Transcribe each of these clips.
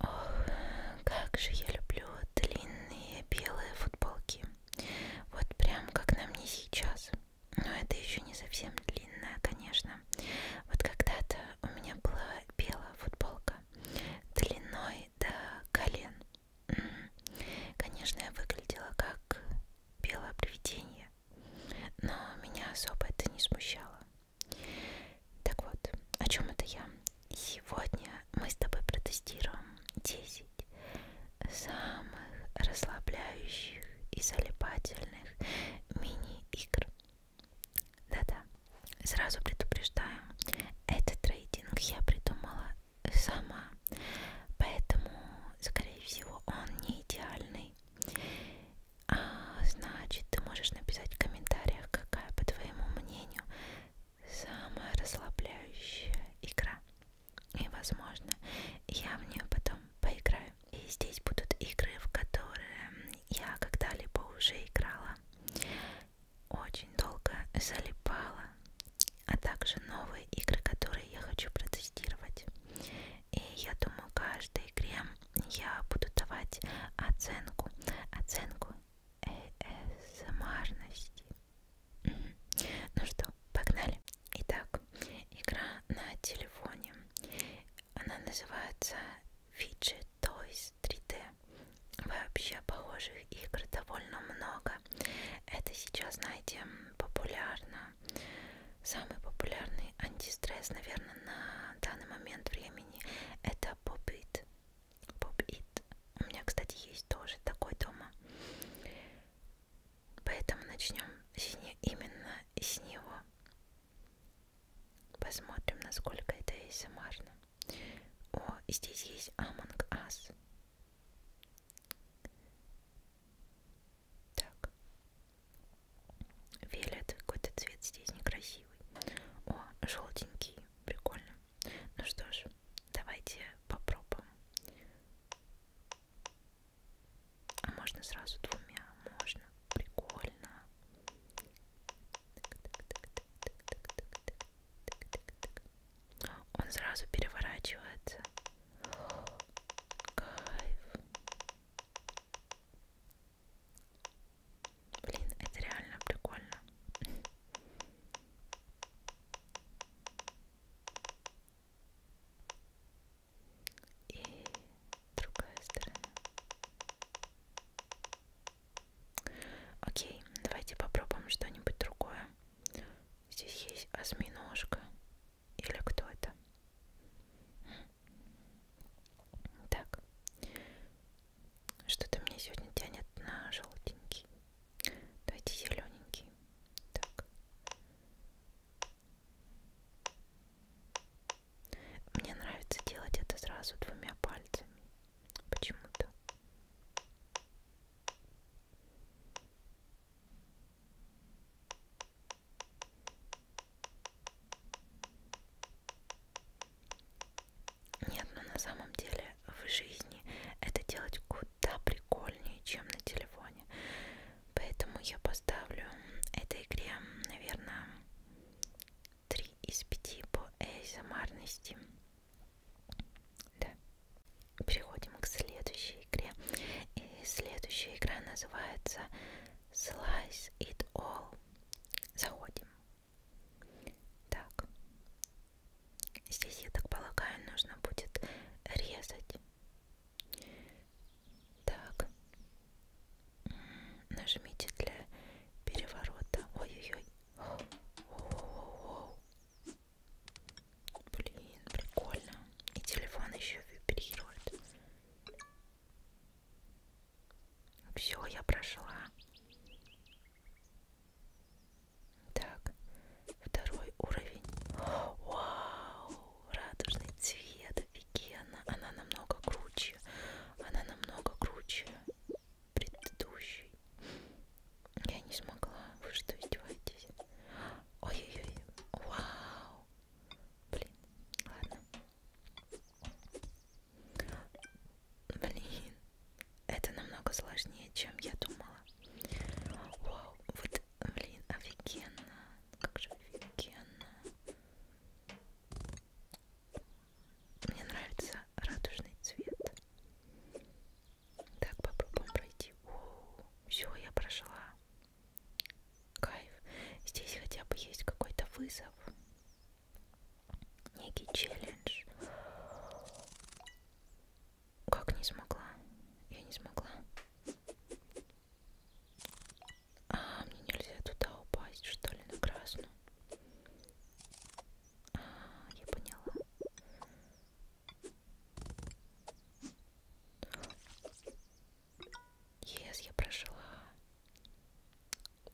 Ох, как же я люблю длинные белые футболки. Вот прям как на мне сейчас. Но это еще не совсем длинная, конечно. Вот когда-то у меня была белая футболка длиной до колен. Конечно, я выглядела как белое привидение, но меня особо это не смущало. Так вот, о чем это я? Сегодня мы с тобой протестируем 10 самых расслабляющих и залипательных мини-игр. Да-да, сразу предупреждаю, этот трейдинг я придумала сама, поэтому, скорее всего, он не идеальный. А, значит, ты можешь написать в комментариях, какая, по твоему мнению, мнению, самая расслабляющая игра. И, возможно, я в нее потом поиграю. И здесь будут игры, в которые я когда-либо уже играла. Очень долго залипала. А также новые игры, которые я хочу протестировать. И я думаю, каждой игре я буду давать оценку. Оценку ASMR-ности. Ну что, погнали. Итак, игра на телефоне. Она называется Fidget Toys 3D. Вообще похожих игр довольно много. Это сейчас, знаете, популярно. Самый популярный антистресс, наверное, на данный момент времени это Bobit. Pop It. У меня, кстати, есть тоже такой дома. Поэтому начнем с не, именно с него. Посмотрим, насколько это ASMR. Эм О, здесь есть Among Us. Так. Виолет какой-то цвет здесь некрасивый. О, желтенький прикольно. Ну что ж, давайте попробуем. А можно сразу двумя? Можно. Прикольно. Он сразу переворачивается. Кайф. Блин, это реально прикольно. И другая сторона. Окей, давайте попробуем что-нибудь другое. Здесь есть осьминожка. Или кто это? Так. Что-то мне сегодня тянет на желтенький. Давайте зелененький. Так. Мне нравится делать это сразу двумя пальцами. Почему-то. Нет, но на самом деле в жизни это делать куда прикольнее, чем на телефоне. Поэтому я поставлю этой игре, наверное, 3 из 5 по эйзомарности. Да. Переходим к следующей игре. И следующая игра называется Slice It All. Заходим. Так, здесь, я так полагаю, нужно будет резать. Так, нажмите для переворота. Ой-ой-ой. Блин, прикольно. И телефон еще вибрирует. Все, я прошла. Так, второй уровень. Вау! Радужный цвет, офигенно. Она намного круче. Она намного круче предыдущей. Я не смогла. Вы что, издеваетесь? Ой-ой-ой. Вау! Блин, ладно. Блин, это намного сложнее, чем я думала. Вау, вот, блин, офигенно. Как же офигенно. Мне нравится радужный цвет. Так, попробуем пройти. Все, я прошла. Кайф. Здесь хотя бы есть какой-то вызов некий челлендж. Как не смогла? Я не смогла. А, мне нельзя туда упасть, что ли, на красную? А, я поняла. Ес, yes, я прошла.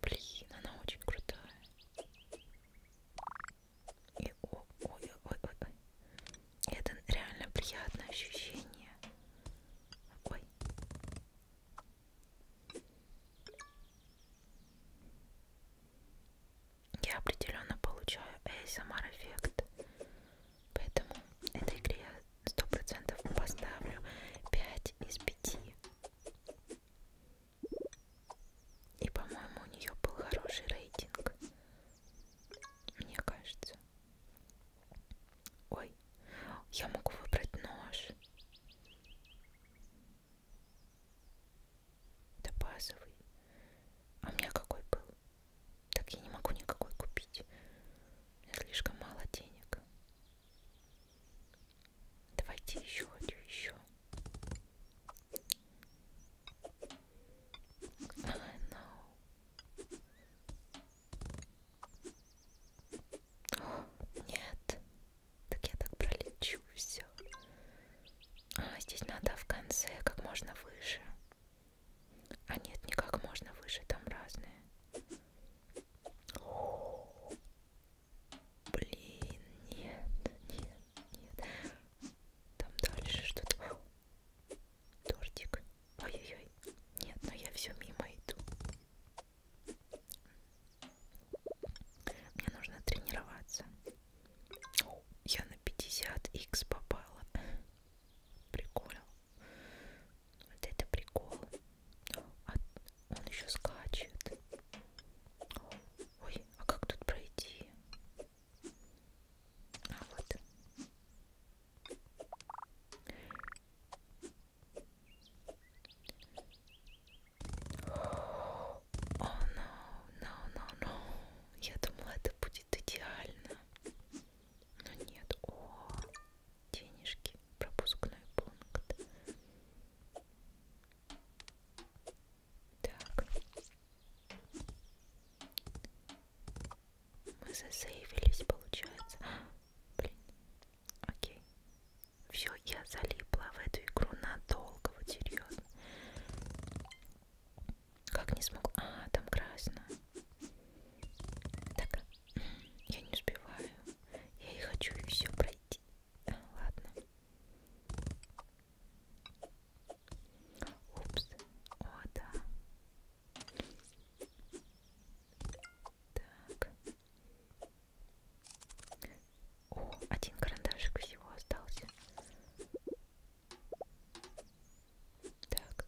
Блин, она очень крутая. И, о, ой, ой, ой, ой. Это реально приятное ощущение. Ой. Я определенно получаю ASMR эффект. Поэтому этой игре я 100% поставлю 5 из 5. И, по-моему, у нее был хороший рейтинг. Мне кажется. Ой, я могу выбрать нож. Это базовый. А у меня какой был? Так я не могу никакой купить. У меня слишком мало денег. Давайте еще, хочу еще. I know. О, нет. Так я так пролечу все. А, здесь надо в конце как можно выше. А нет, не как можно выше, там разные. О -о -о. Блин, нет, нет, нет. Там дальше что-то. Тортик. Ой-ой-ой. Нет, но ну я все мимо иду. Мне нужно тренироваться. О, я на 50х попала. Прикол. Вот это прикол. А он еще скачет. Ой, а как тут пройти? А вот. О, oh, no, no, no, no. Я думала, это будет идеально. Но нет. О, денежки. Пропускной пункт. Так. Мы засейвились, получается. Блин. Окей. Все, я залипла в эту игру надолго, вот серьезно. Как не смог. А, там красно. Так, я не успеваю. Я и хочу и все пройти. А, ладно. Упс, о да. Так. О, один карандашик всего остался. Так.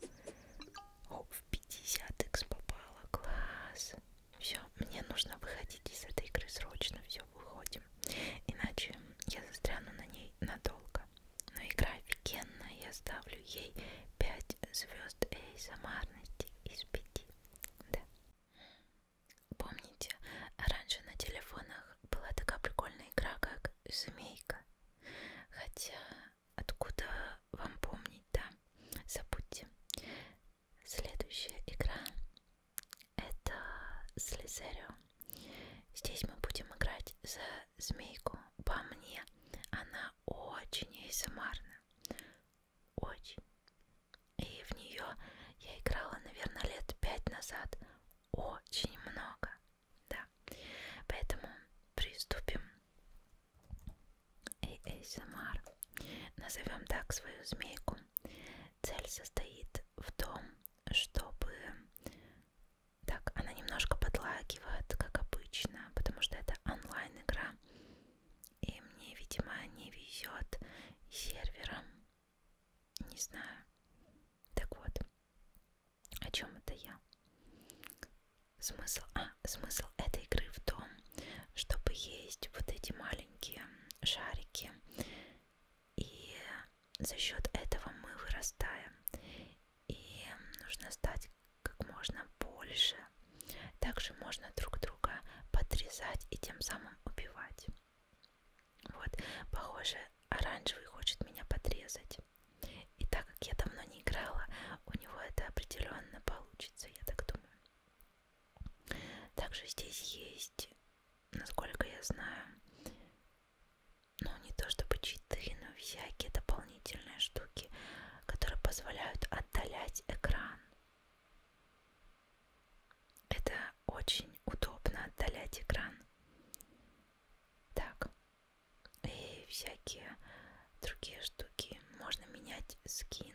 О, в 50 x попало. Класс. Все, мне нужно выходить из этой игры срочно. Все, уходим, иначе я застряну на ней надолго. Но игра офигенная, я ставлю ей 5 звезд эй самарности из 5. Да. Помните, раньше на телефонах была такая прикольная игра, как «Змейка». Хотя, откуда вам помнить, да? Забудьте. Следующая игра это Слизерио. Здесь мы будем играть за змейку. По мне она очень эйсамарна. Эм очень. И в нее я играла, наверное, лет пять назад. Очень много. Да. Поэтому приступим. И ASMR. Эм Назовем так свою змейку. Цель состоит в том, чтобы... Так, она немножко подлагивает, как обычно, потому что это онлайн-игра. И мне, видимо, не везет сервером. Не знаю. Так вот, о чем это я? Смысл, а, смысл этой игры в том, чтобы есть вот эти маленькие шарики и за счет этого мы вырастаем. И нужно стать как можно больше. Также можно друг друга подрезать и тем самым убивать. Вот, похоже, оранжевый хочет меня подрезать. И так как я давно не играла, у него это определенно получится, я так думаю. Также здесь есть насколько я знаю, ну не то чтобы читы, но всякие дополнительные штуки, которые позволяют отдалять экран. Это очень удобно отдалять экран. Так, и всякие другие штуки. Можно менять скин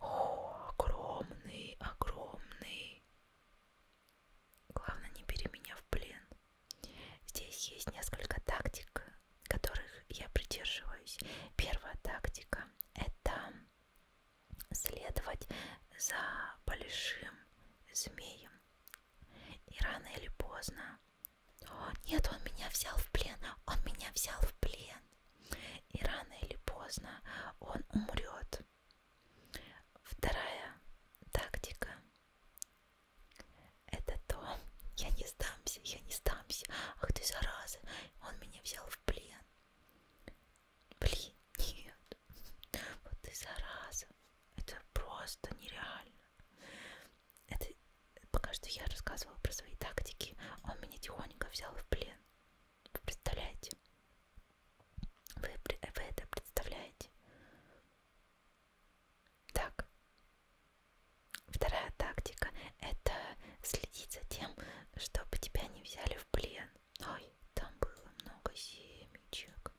о, огромный, огромный. Главное, не бери меня в плен. Здесь есть несколько тактик, которых я придерживаюсь. Первая тактика – это следовать за большим змеем. И рано или поздно... О, нет, он меня взял в плен! Он меня взял в плен! И рано или поздно он умрет. Вторая тактика это то, я не сдамся, я не сдамся, ах ты зараза, он меня взял в плен. Блин, нет, вот ты зараза, это просто нереально. Это пока что я рассказывала про свои тактики, он меня тихонько взял в плен. Вы представляете? Вы, вы это представляете? Так. Вторая тактика – это следить за тем, чтобы тебя не взяли в плен. Ой, там было много семечек.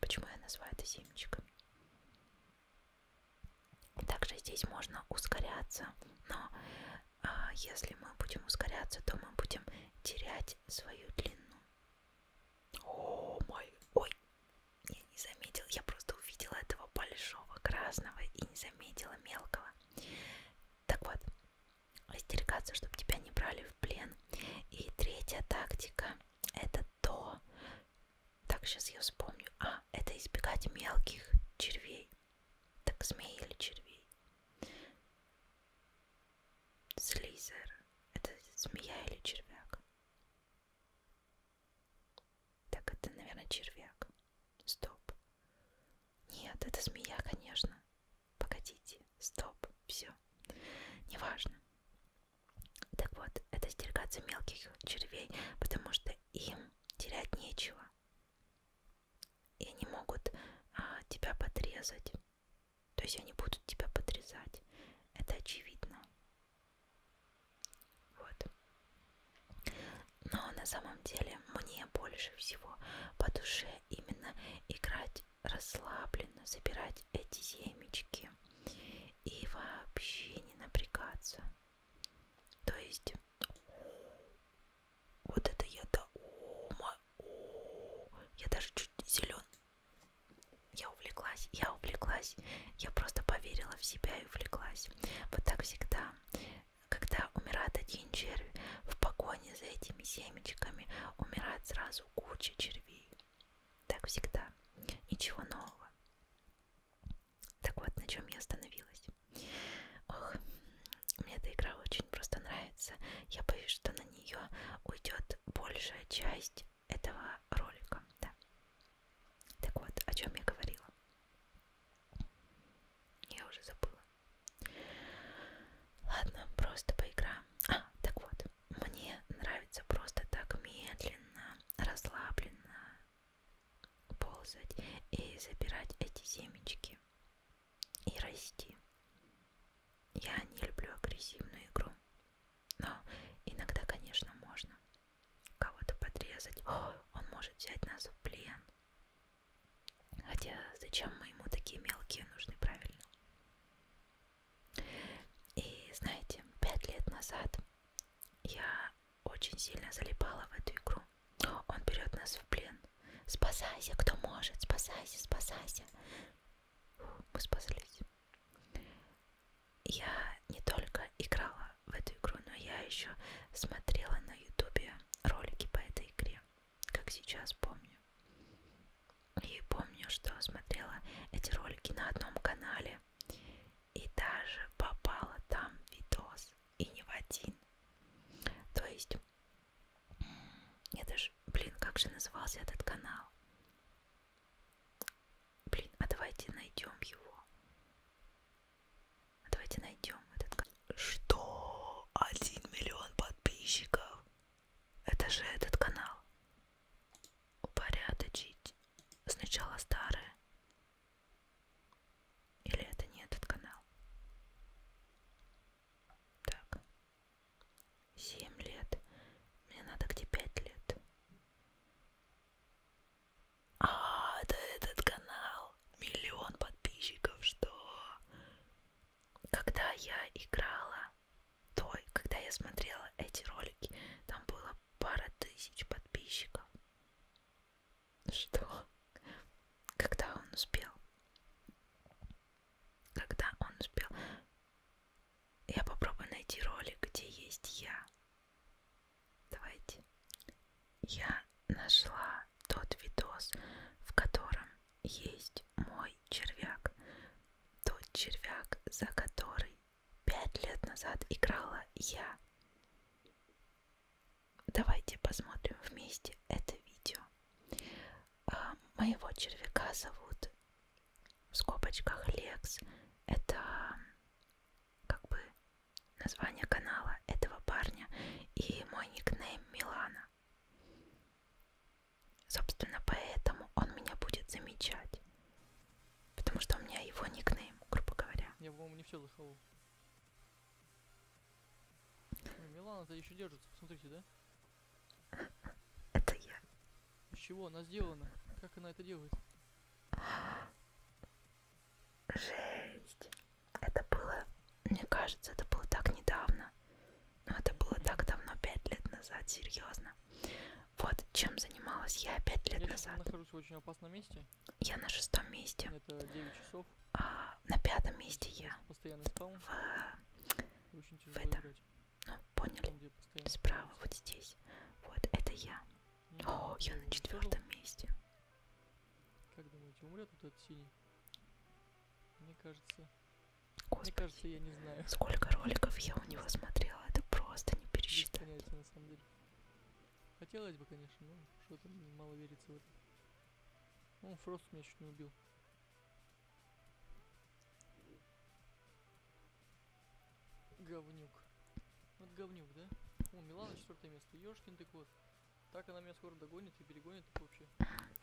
Почему я называю это семечками? Также здесь можно ускоряться, но а если мы будем ускоряться, то мы будем терять свою длину. О, мой, ой, я не заметила, я просто увидела этого большого красного и не заметила мелкого. Так вот, остерегаться, чтобы тебя не брали в плен. И третья тактика, это то, так, сейчас я вспомню, а, это избегать мелких червей. Так, змей или червей? Слизер. Это змея или червяк? Так, это, наверное, червяк. Стоп. Нет, это змея, конечно. Погодите. Стоп. Все. Неважно. Так вот, это стерегаться мелких червей, потому что им терять нечего. И они могут а, тебя подрезать. То есть они будут тебя подрезать. Это очевидно. Вот. Но на самом деле мне больше всего по душе именно играть расслабленно, собирать эти семечки и вообще не напрягаться. То есть вот это я до ума. Я даже чуть не зелен. Я увлеклась, я увлеклась. Я просто поверила в себя и увлеклась. Вот так всегда. Когда умирает один червь, в погоне за этими семечками умирает сразу куча червей. Так всегда. Ничего нового. Так вот, на чем я остановилась. Ох, мне эта игра очень просто нравится. Я боюсь, что на нее уйдет большая часть этого ролика. Да. Так вот, о чем я говорила. Я уже забыла. Ладно, просто поиграем. А, так вот, мне нравится просто так медленно, расслабленно ползать и забирать эти семечки и расти. Я не люблю агрессивную игру, но иногда, конечно, можно кого-то подрезать. О, он может взять нас в плен. Хотя зачем мы ему такие мелкие нужны, правильно? И знаете, пять лет назад я очень сильно залипала в эту игру. Он берет нас в плен. Спасайся, кто может, спасайся, спасайся. Фу, мы спаслись. Я не только играла в эту игру, но я еще смотрела на ютубе ролики по этой игре, как сейчас помню. И помню, что смотрела эти ролики на одном канале. И даже попала там видос, и не в один. То есть это ж, блин, как же назывался этот канал? Блин, а давайте найдем его. А давайте найдем этот канал. Что? Один миллион подписчиков? Это же этот канал. Упорядочить. Сначала старое. Или это не этот канал? Так. Семь лет. Мне надо где пять лет. А, это этот канал. Миллион подписчиков, что? Когда я играла, то, когда я смотрела эти ролики, там было пара тысяч подписчиков. Что? Когда он успел? когда он успел... Я попробую найти ролик, где есть я. Давайте. Я нашла тот видос, в котором есть мой червяк. Тот червяк, за который пять лет назад играла я. Давайте посмотрим вместе это видео. А моего червяка зовут в скобочках Лекс. Это как бы название канала этого парня. И мой никнейм Милана. Собственно, поэтому он меня будет замечать. Потому что у меня его никнейм, грубо говоря. Я, по-моему, не все заховал. Милана-то еще держится, посмотрите, да? Это я. С чего она сделана? Как она это делает? Жесть. Это было, мне кажется, это было так недавно. Но это было так давно, пять лет назад, серьезно. Вот чем занималась я пять лет я назад. Я нахожусь в очень опасном месте. Я на шестом месте. Это 9 часов. А, на пятом месте я. Постоянный спаун. В в этом. Ну, поняли? Справа, вот здесь. Вот, это я. Ну, О, я на четвертом месте. Как думаете, умрет вот этот синий? Мне кажется... Господи, Мне кажется, я не знаю. Сколько роликов я у него смотрела, это просто не пересчитать. Понятия, на самом деле. Хотелось бы, конечно, но что-то мало верится в это. Ну, Фрост меня чуть не убил. Говнюк. Вот ну, говнюк, да? О, Милана четвертое место. Ёшкин ты кот. Так она меня скоро догонит и перегонит вообще.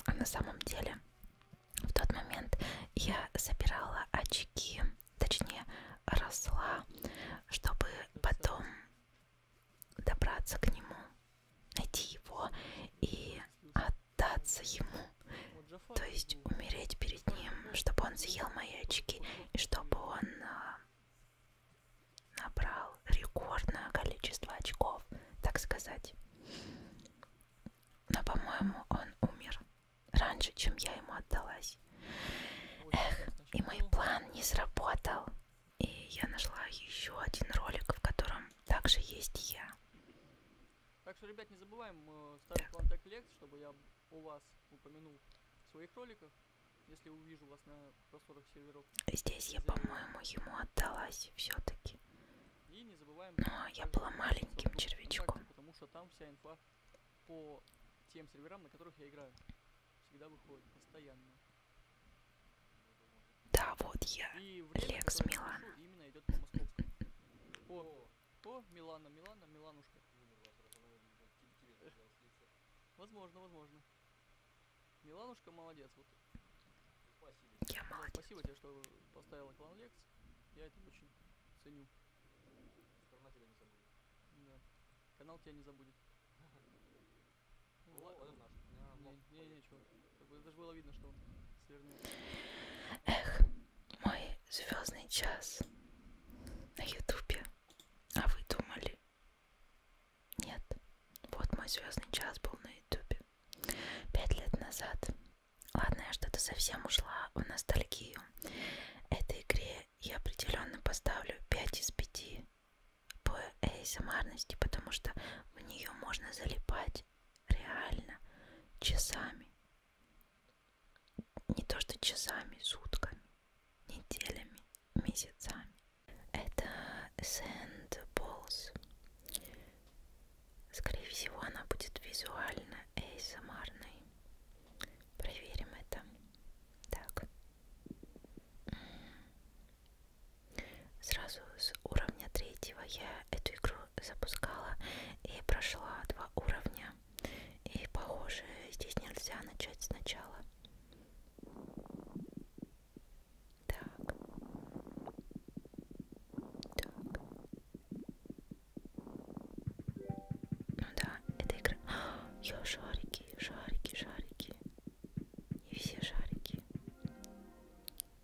А на самом деле, в тот момент я собирала очки, точнее, росла, чтобы Красава. потом добраться к нему, найти его и от отдаться ему, то есть умереть перед ним, чтобы он съел мои очки и чтобы он а, набрал рекордное количество очков, так сказать. Но, по-моему, он умер раньше, чем я ему отдалась. Эх, и мой план не сработал. И я нашла еще один ролик, в котором также есть я. Так что, ребят, не забываем э, ставить вам так лект, чтобы я о вас упомянул в своих роликах, если увижу вас на просторах серверов. Здесь я, по-моему, ему отдалась все-таки. И не забываем... Но ну, а я была маленьким червячком. Потому что там вся инфа по тем серверам, на которых я играю. Всегда выходит, постоянно. Да, вот я, Лекс Милан. О, о, Милана, Милана, Миланушка. Возможно, возможно. Миланушка молодец. Вот. Спасибо. Я да, молодец. Спасибо тебе, что поставила клан Лекс. Я это очень ценю. Страна тебя не забудет. Да. Канал тебя не забудет. Ладно. Не, не, не, чувак. Как бы даже было видно, что он свернул. Эх, мой звездный час на Ютубе. А вы думали? Нет. Вот мой звездный час был на Ютубе. Пять лет назад. Ладно, я что-то совсем ушла в ностальгию. Этой игре я определенно поставлю 5 из 5 по ASMR, потому что в нее можно залипать сидеть реально часами, не то что часами, сутками, неделями, месяцами. Это Sandballs. Скорее всего, она будет визуально эйсамарной. Эм Проверим это. Так. Сразу с уровня третьего я эту игру запускала и прошла два уровня. И похоже, здесь нельзя начать сначала. Так. Так. Ну да, это игра. А, я шарики, шарики, шарики. Не все шарики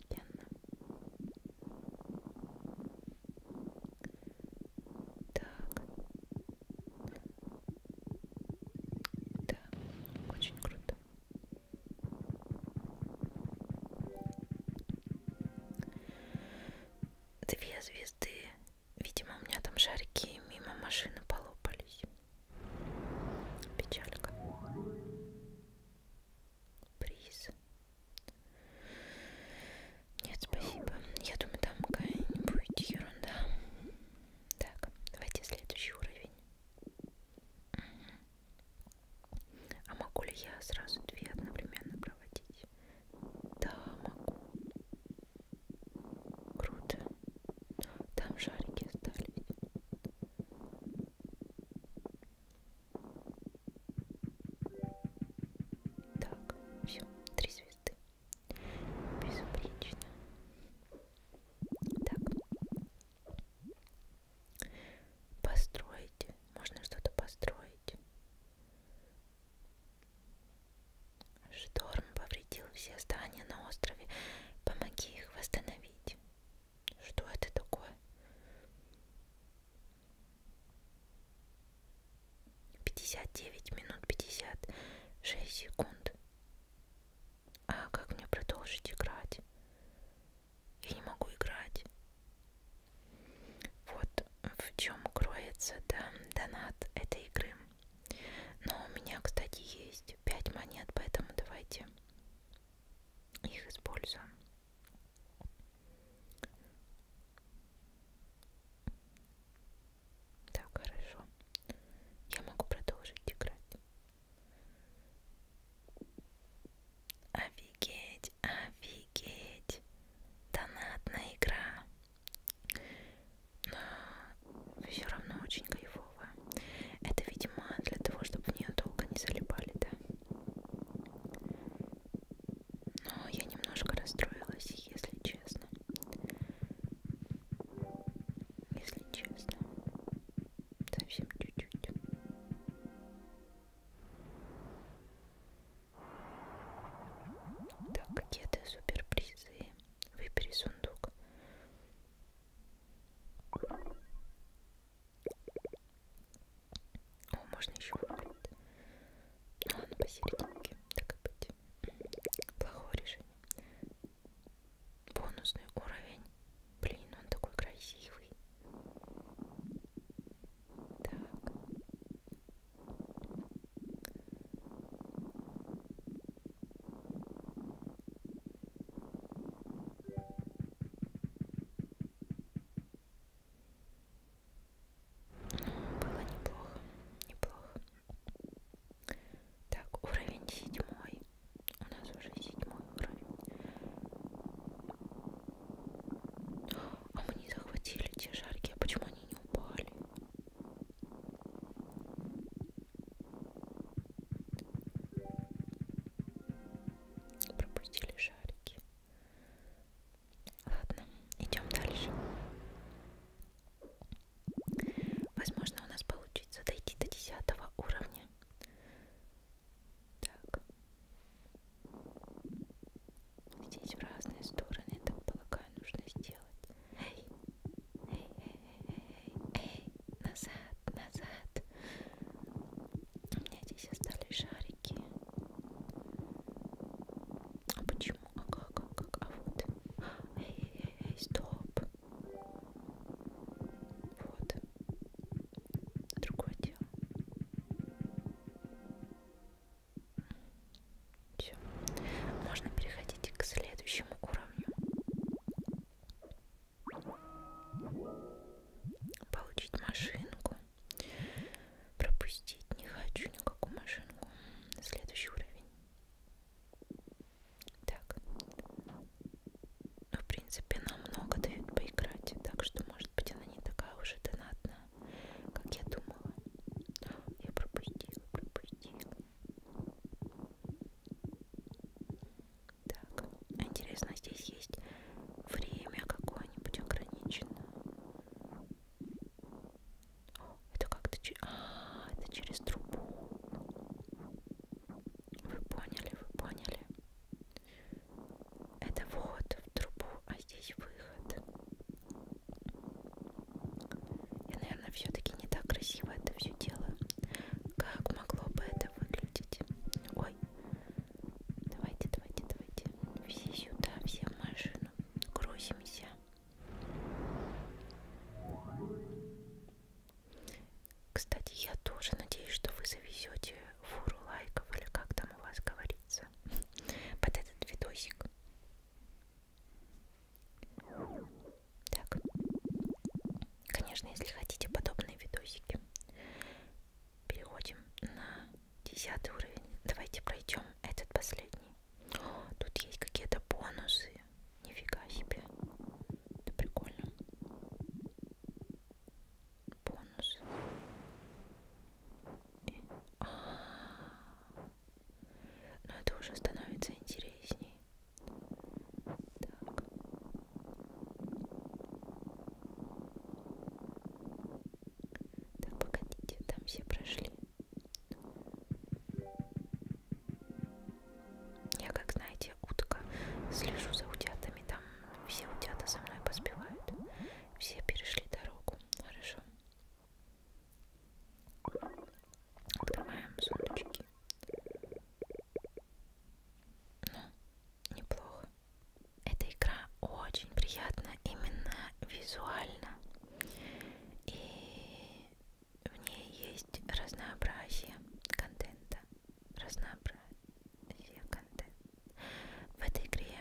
офигенно. Так. Да, очень круто. Две звезды. Видимо, у меня там шарики мимо машины полопались. Печалька приз. Нет, спасибо. Я думаю, там какая-нибудь ерунда. Так, давайте следующий уровень. А могу ли я сразу две одновременно проводить? Да, могу. Круто. Там шарики остались. Так, все, три звезды. Безупречно. Так. Построить. Можно что-то построить. Шторм повредил все здания на острове. Помоги их восстановить. Что это такое? Пятьдесят девять минут пятьдесят шесть секунд. А как мне продолжить играть? Я не могу играть. Вот в чем кроется да, донат этой игры. Но у меня, кстати, есть 5 монет, поэтому давайте их используем. Так, хорошо. Я могу продолжить играть. Офигеть, офигеть. Донатная игра. Но все равно очень кайфовая. Это, видимо, для того, чтобы в нее долго не залипали, да? Но ну, я немножко расстроилась, если честно. Если честно. Совсем чуть-чуть. Так, какие-то суперпризы. Выбери сундук. О, можно еще выбрать. А, ну ладно, посерединке, так и быть. Плохое решение. Бонусный уровень. Блин, он такой красивый. Так. Было неплохо, неплохо. Так, уровень седьмой. У нас уже седьмой уровень. А мы не захватили те шарики, а почему они не упали? Пропустили шарики. Ладно, идем дальше. Возможно, у нас получится дойти до десятого уровня. Так. Здесь в разные стороны, я так полагаю, нужно сделать. Эй, эй, эй, эй, эй, эй, назад, назад. У меня здесь остались шарики. А почему? А как? А как? А вот. Эй, эй, эй, стоп. Вот. Другое дело. Все. Можно переходить к следующему уровню. Получить машинку. Пропустить не хочу никакую машинку. Следующий уровень. Так. Ну, в принципе, нам много дают поиграть, так что, может быть, она не такая уже донатная, как я думала. Я пропустила, пропустила. Так, интересно, здесь есть время какое-нибудь ограничено. О, это как-то через... А, это через трубу. Вы поняли, вы поняли. Это вот в трубу, а здесь выход. Я, наверное, все-таки не так красиво это все дело. Как могло бы это выглядеть? Ой, Давайте, давайте, давайте. Все сюда, все в машину. Грузимся. Кстати, я тоже надеюсь, что вы завезете фуру лайков или как там у вас говорится под этот видосик. Так, конечно, если хотите подобные видосики, переходим на Десятый уровень. Давайте пройдем этот последний. О, тут есть какие-то бонусы. Нифига себе. Это прикольно. Бонус. И... А -а -а. Но это уже становится интересней. Так. Так, погодите, там все прошли. Я, как знаете, утка, слежу за утятами, там все утята со мной поспевают. Все перешли дорогу, хорошо. Открываем сундучки. Ну, неплохо эта игра очень приятна именно визуально. И в ней есть разнообразие контента. Разнообразие контента. В этой игре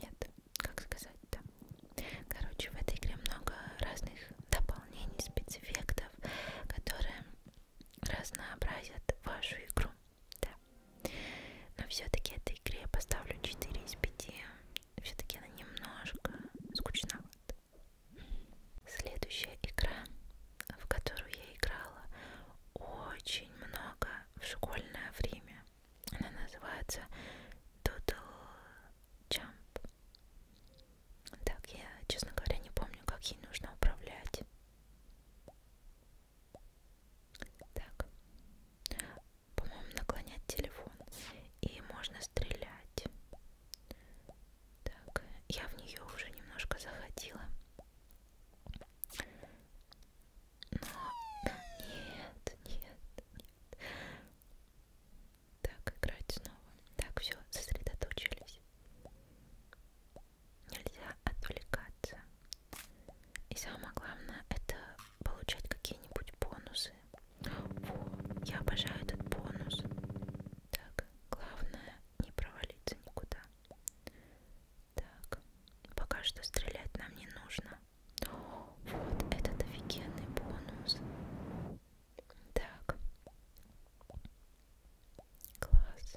нет, как сказать-то. Короче, в этой игре много разных дополнений, спецэффектов, которые разнообразят вашу игру да. Но все-таки этой игре я поставлю 4 из 5. Все-таки она немножко скучновата. Следующая игра, в которую я играла очень много в школьное время. Она называется Doodle Jump. Так, я, честно говоря, не помню, как ей нужно управлять. Так. По-моему, наклонять телефон. И можно стрелять. Так, я в нее уже немножко заходила. Но нет, нет, нет. Так, играть снова. Так, все, сосредоточились. Нельзя отвлекаться. И самое главное, это получать какие-нибудь бонусы. Во, я обожаю этот бонус. Так, главное не провалиться никуда. Так, пока что стрелять нам не нужно. О, вот этот офигенный бонус. Так, класс.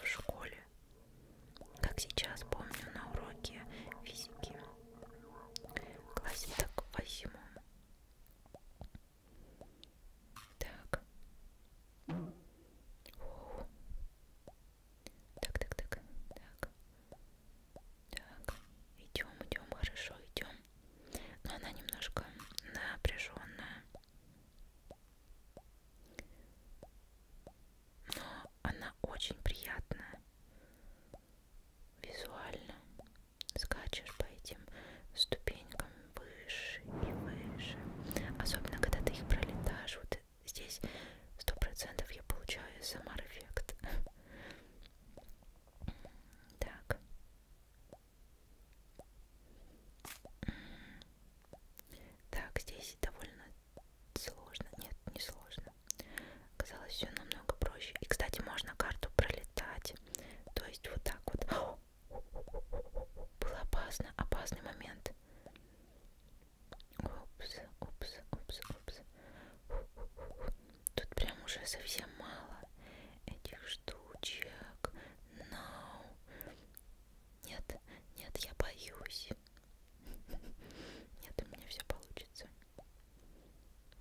в школе, как сейчас помню на уроке физики в классе так восьмом. Так. Фу. Так, так, так, так. Так, идем, идем, хорошо, идем. Но она немножко напряженная. Но она очень приятная. Визуально скачешь по этим ступенькам выше и выше. Особенно, когда ты их пролетаешь. Вот здесь сто процентов я получаю самар-эффект. Эм так. Так, здесь довольно сложно. Нет, не сложно. Казалось, все намного проще. И, кстати, можно карту пролетать. То есть вот так вот. Было опасно, опасный момент. Упс, упс, упс, упс. Тут прям уже совсем мало этих штучек. No. Нет, нет, я боюсь. Нет, у меня все получится.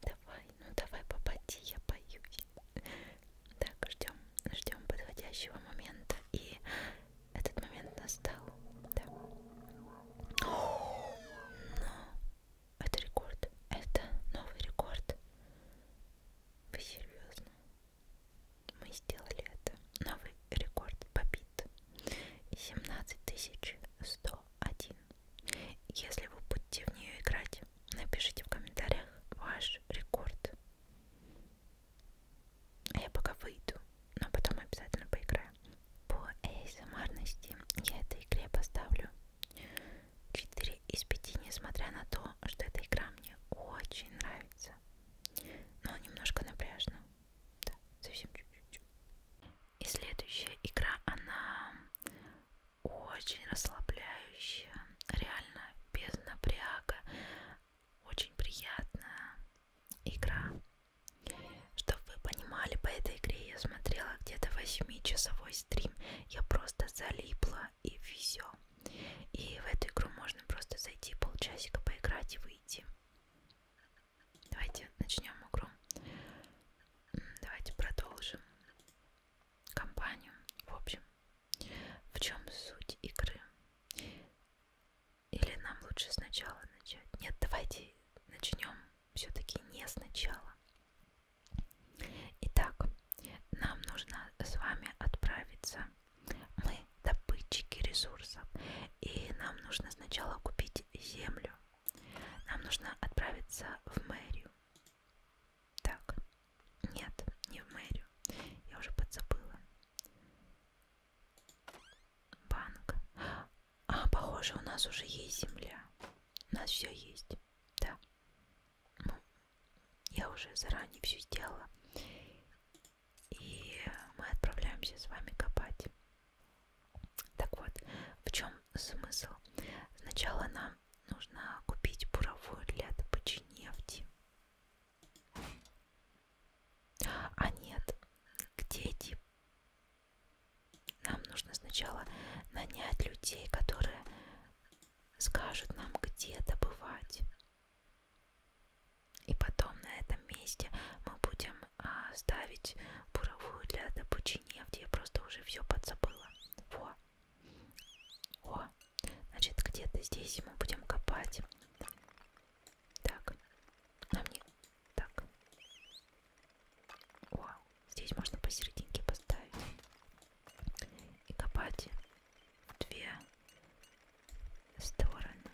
Давай, ну давай, попади, я боюсь. Так, ждем, ждем подходящего момента. И этот момент настал. Да. О, но это рекорд. Это новый рекорд. Вы серьезно? Мы сделали это. Новый рекорд побит. 17101. Если вы будете в нее играть, напишите в комментариях ваш рекорд. А я пока выйду, но потом обязательно поиграю. По эйсамарности я этой игре поставлю 4 из 5, несмотря на то, что эта игра мне очень нравится. Но ну, немножко напряжно. Да, совсем чуть-чуть. И следующая игра, она очень расслабляющая. Реально, без напряга. Очень приятная игра. Чтобы вы понимали, по этой игре я смотрела где-то 8-часовой стрим. Я просто залипла и все. И в эту игру можно просто зайти полчасика поиграть и выйти. Давайте начнем игру. Давайте продолжим компанию. В общем, в чем суть игры? Или нам лучше сначала начать? Нет, давайте начнем все-таки не сначала. Итак, нам нужно с вами отправиться мы добытчики ресурсов, и нам нужно сначала купить землю. Нам нужно отправиться в мэрию. Так, нет, не в мэрию. Я уже подзабыла. Банк. А, похоже, у нас уже есть земля. У нас все есть. Да. Ну, я уже заранее все сделала. И мы отправляемся с вами копать. Так вот, в чем смысл? Сначала нам нужно купить буровую для добычи нефти. E а нет, где эти? Нам нужно сначала нанять людей, которые скажут нам, где добывать и потом на этом месте мы будем а, ставить буровую для добычи нефти. Я просто уже все подзабыла. Во. О. Значит, где-то здесь мы будем копать. Так. Нам не... Так. О. Здесь можно посерединке поставить. И копать в две стороны.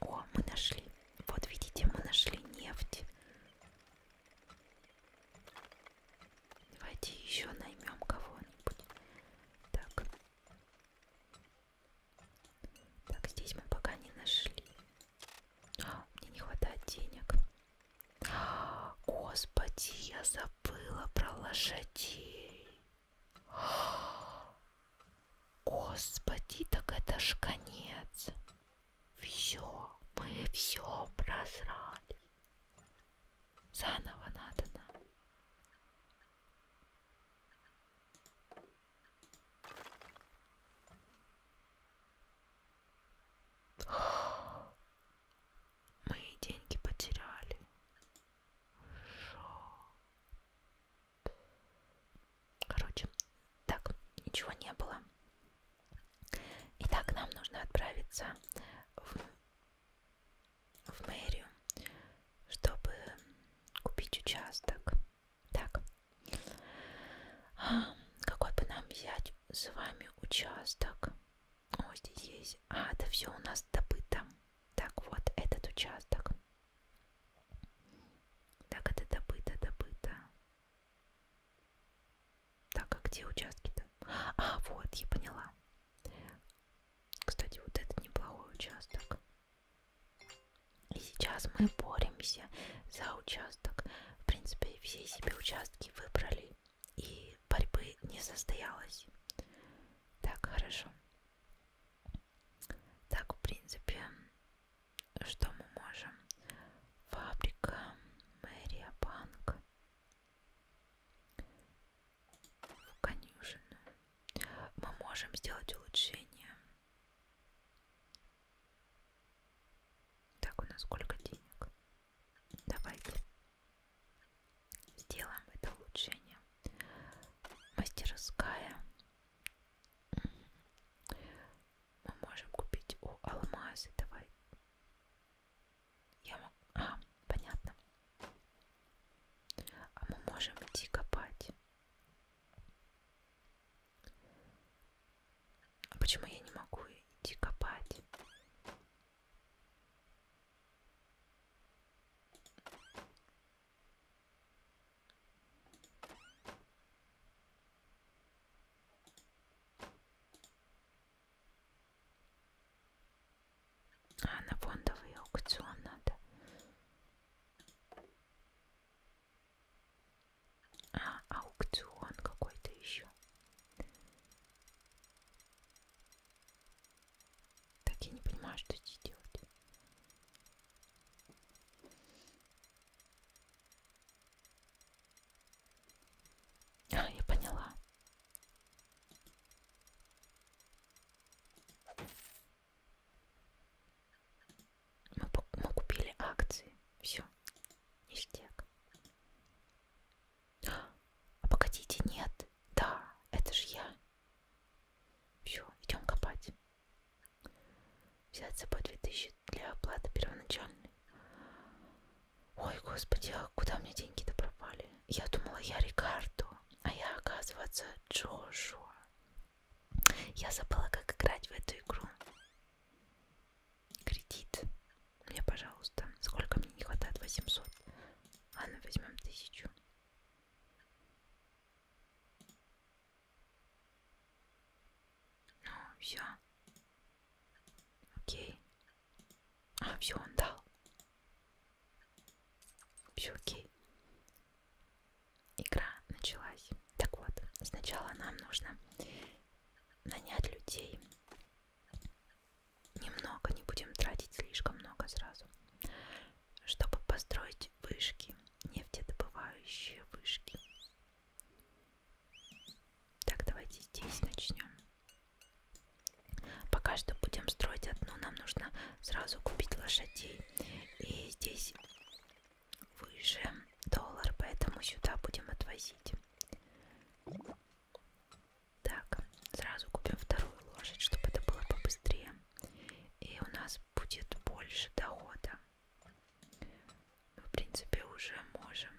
О, мы нашли. Вот видите, мы нашли нефть. Давайте еще наймем кого-нибудь. Так. Так, здесь мы пока не нашли. А, мне не хватает денег. Господи, я забыла про лошадей. Господи, так это ж конец. Все, мы все просрали. Заново надо нам. Мы деньги потеряли. Шо? Короче, так, ничего не было. Итак, нам нужно отправиться в, в мэрию, чтобы купить участок. Так, а, какой бы нам взять с вами участок? О, здесь есть. А, это все у нас добыто. Так вот, этот участок. Так это добыто, добыто. Так, а где участки-то? А, вот, я поняла. Кстати, вот это неплохой участок. И сейчас мы боремся за участок. В принципе, все себе участки выбрали. И борьбы не состоялось. Так, хорошо. Так, в принципе, что мы можем? Фабрика, мэрия, банк, конюшину. Мы можем сделать улучшение. Так, у нас сколько денег? Давайте сделаем это улучшение. Мастерская. Мы можем купить у Алмазы, давай. Я могу... А, понятно. А мы можем идти копать. А почему я не могу идти копать? А, на фондовый аукцион надо. А, аукцион какой-то еще. Так я не понимаю, что здесь делать. А, я поняла. Мы, мы купили акции. Все. Ништяк. А погодите, нет. Да, это же я. Все, идем копать. Взять с собой 2000 для оплаты первоначальной. Ой, господи, а куда мне деньги-то пропали? Я думала, я Рикардо, а я, оказывается, Джошуа. Я забыла, как играть в эту игру. Кредит. Мне, пожалуйста. Сколько мне не хватает? 800. Ладно, возьмем тысячу. Ну, все. Окей. А, все, он дал. Все окей. Игра началась. Так вот, сначала нам нужно нанять людей. Немного, не будем тратить слишком много сразу чтобы построить вышки, нефтедобывающие вышки. Так, давайте здесь начнем. Пока что будем строить одну, нам нужно сразу купить лошадей. И здесь выше доллар, поэтому сюда будем отвозить. Так, сразу купим вторую лошадь, чтобы это было побыстрее и у нас будет больше дохода. Мы, в принципе, уже можем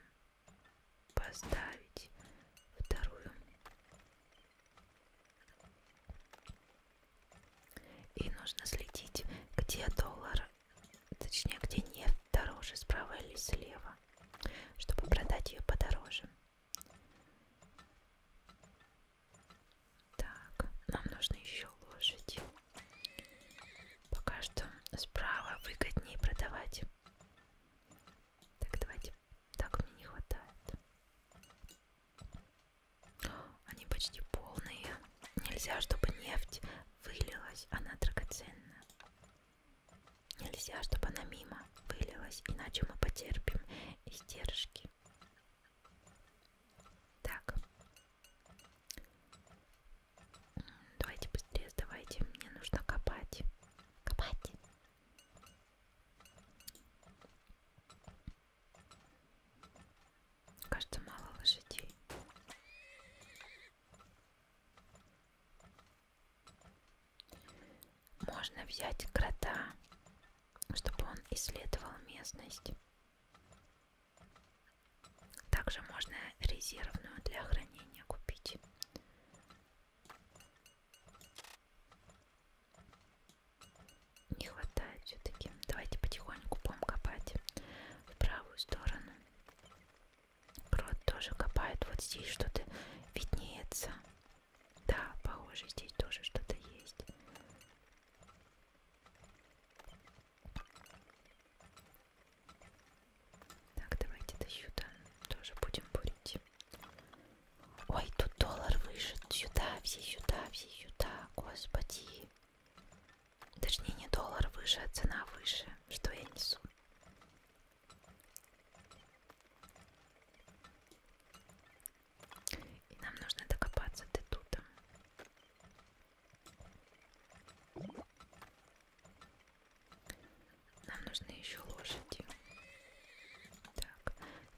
поставить вторую. И нужно следить, где доллар, точнее, где нефть дороже, справа или слева, чтобы продать ее подороже. Так, нам нужно еще лошадь. Пока что справа выгоднее продавать. Так, давайте. Так мне не хватает. Они почти полные. Нельзя, чтобы нефть вылилась. Она драгоценна. Нельзя, чтобы она мимо вылилась. Иначе мы потерпим издержки. Так. Давайте быстрее сдавайте. Мне нужно копать. Копать. Кажется, мало лошадей. Можно взять крота, чтобы он исследовал местность. Также можно резервную для хранения купить. Не хватает все-таки. Давайте потихоньку будем копать в правую сторону. Крот тоже копает. Вот здесь что-то виднеется. Да, похоже, здесь тоже что-то есть. Так, давайте до сюда тоже будем бурить. Ой, тут доллар выше. Сюда, все сюда, все сюда. Господи. Точнее, не доллар выше, а цена выше. Что я несу? И нам нужно докопаться до туда. Нам нужны еще лошади. Так,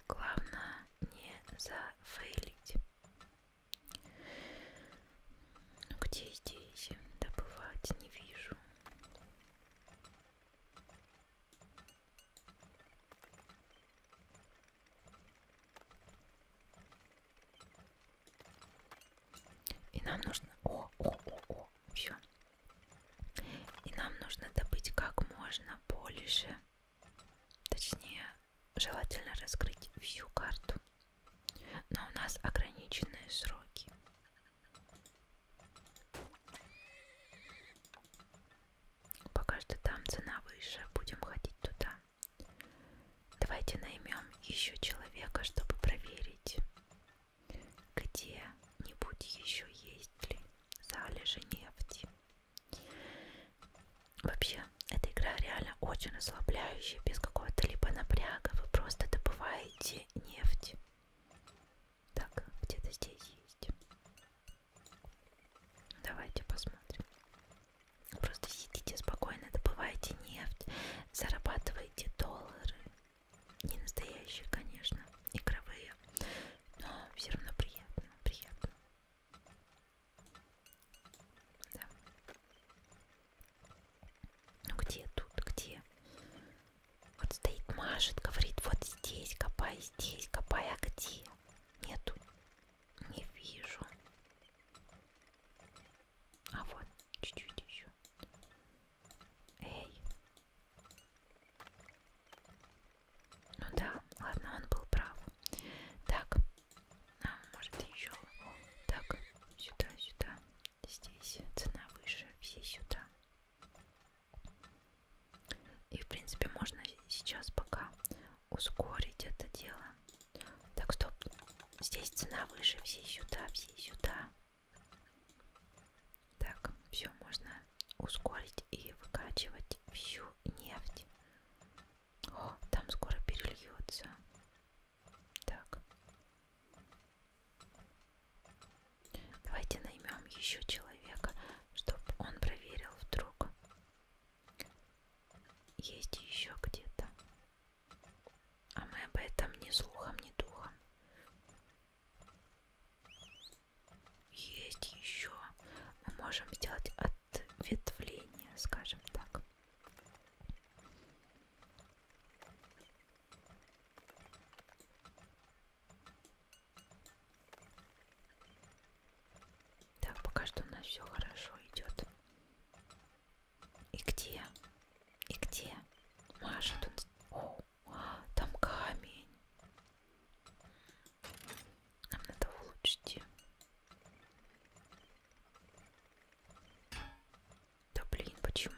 главное не зафейлить. Ну где здесь добывать не вижу. И нам нужно... О, о, о, о, все. И нам нужно добыть как можно больше. Точнее, желательно раскрыть всю карту. Но у нас ограниченные сроки. Пока что там цена выше, будем ходить туда. Давайте наймем еще человека, чтобы проверить, где-нибудь еще есть ли залежи нефти. Вообще, эта игра реально очень расслабляющая, без какого-то либо напряга. Вы просто добываете нефть. Так, где-то здесь есть. Давайте посмотрим. Просто сидите спокойно, добывайте нефть, зарабатывайте доллары. Не настоящие, конечно, игровые, но все равно приятно, приятно. Да. Ну где тут, где? Вот стоит, машет, говорит, вот здесь копай, здесь копай, а где? Нету, не вижу. А вот, чуть-чуть еще. Эй. Ну да, ладно, он был прав. Так, а, может еще. Так, сюда, сюда. Здесь цена выше, все сюда. И в принципе можно сейчас пока ускорить это дело. Так, стоп. Здесь цена выше. Все сюда, все сюда. Так, все можно ускорить и выкачивать всю нефть. О, там скоро перельется. Так. Давайте наймем еще человека, чтобы он проверил вдруг есть еще где-то. А мы об этом ни слухом, ни духом. Есть еще. Мы можем сделать ответвление, скажем так. Так, пока что у нас все хорошо идет. И где? И где? Маша тут... О, там камень. Нам надо улучшить. Да блин, почему?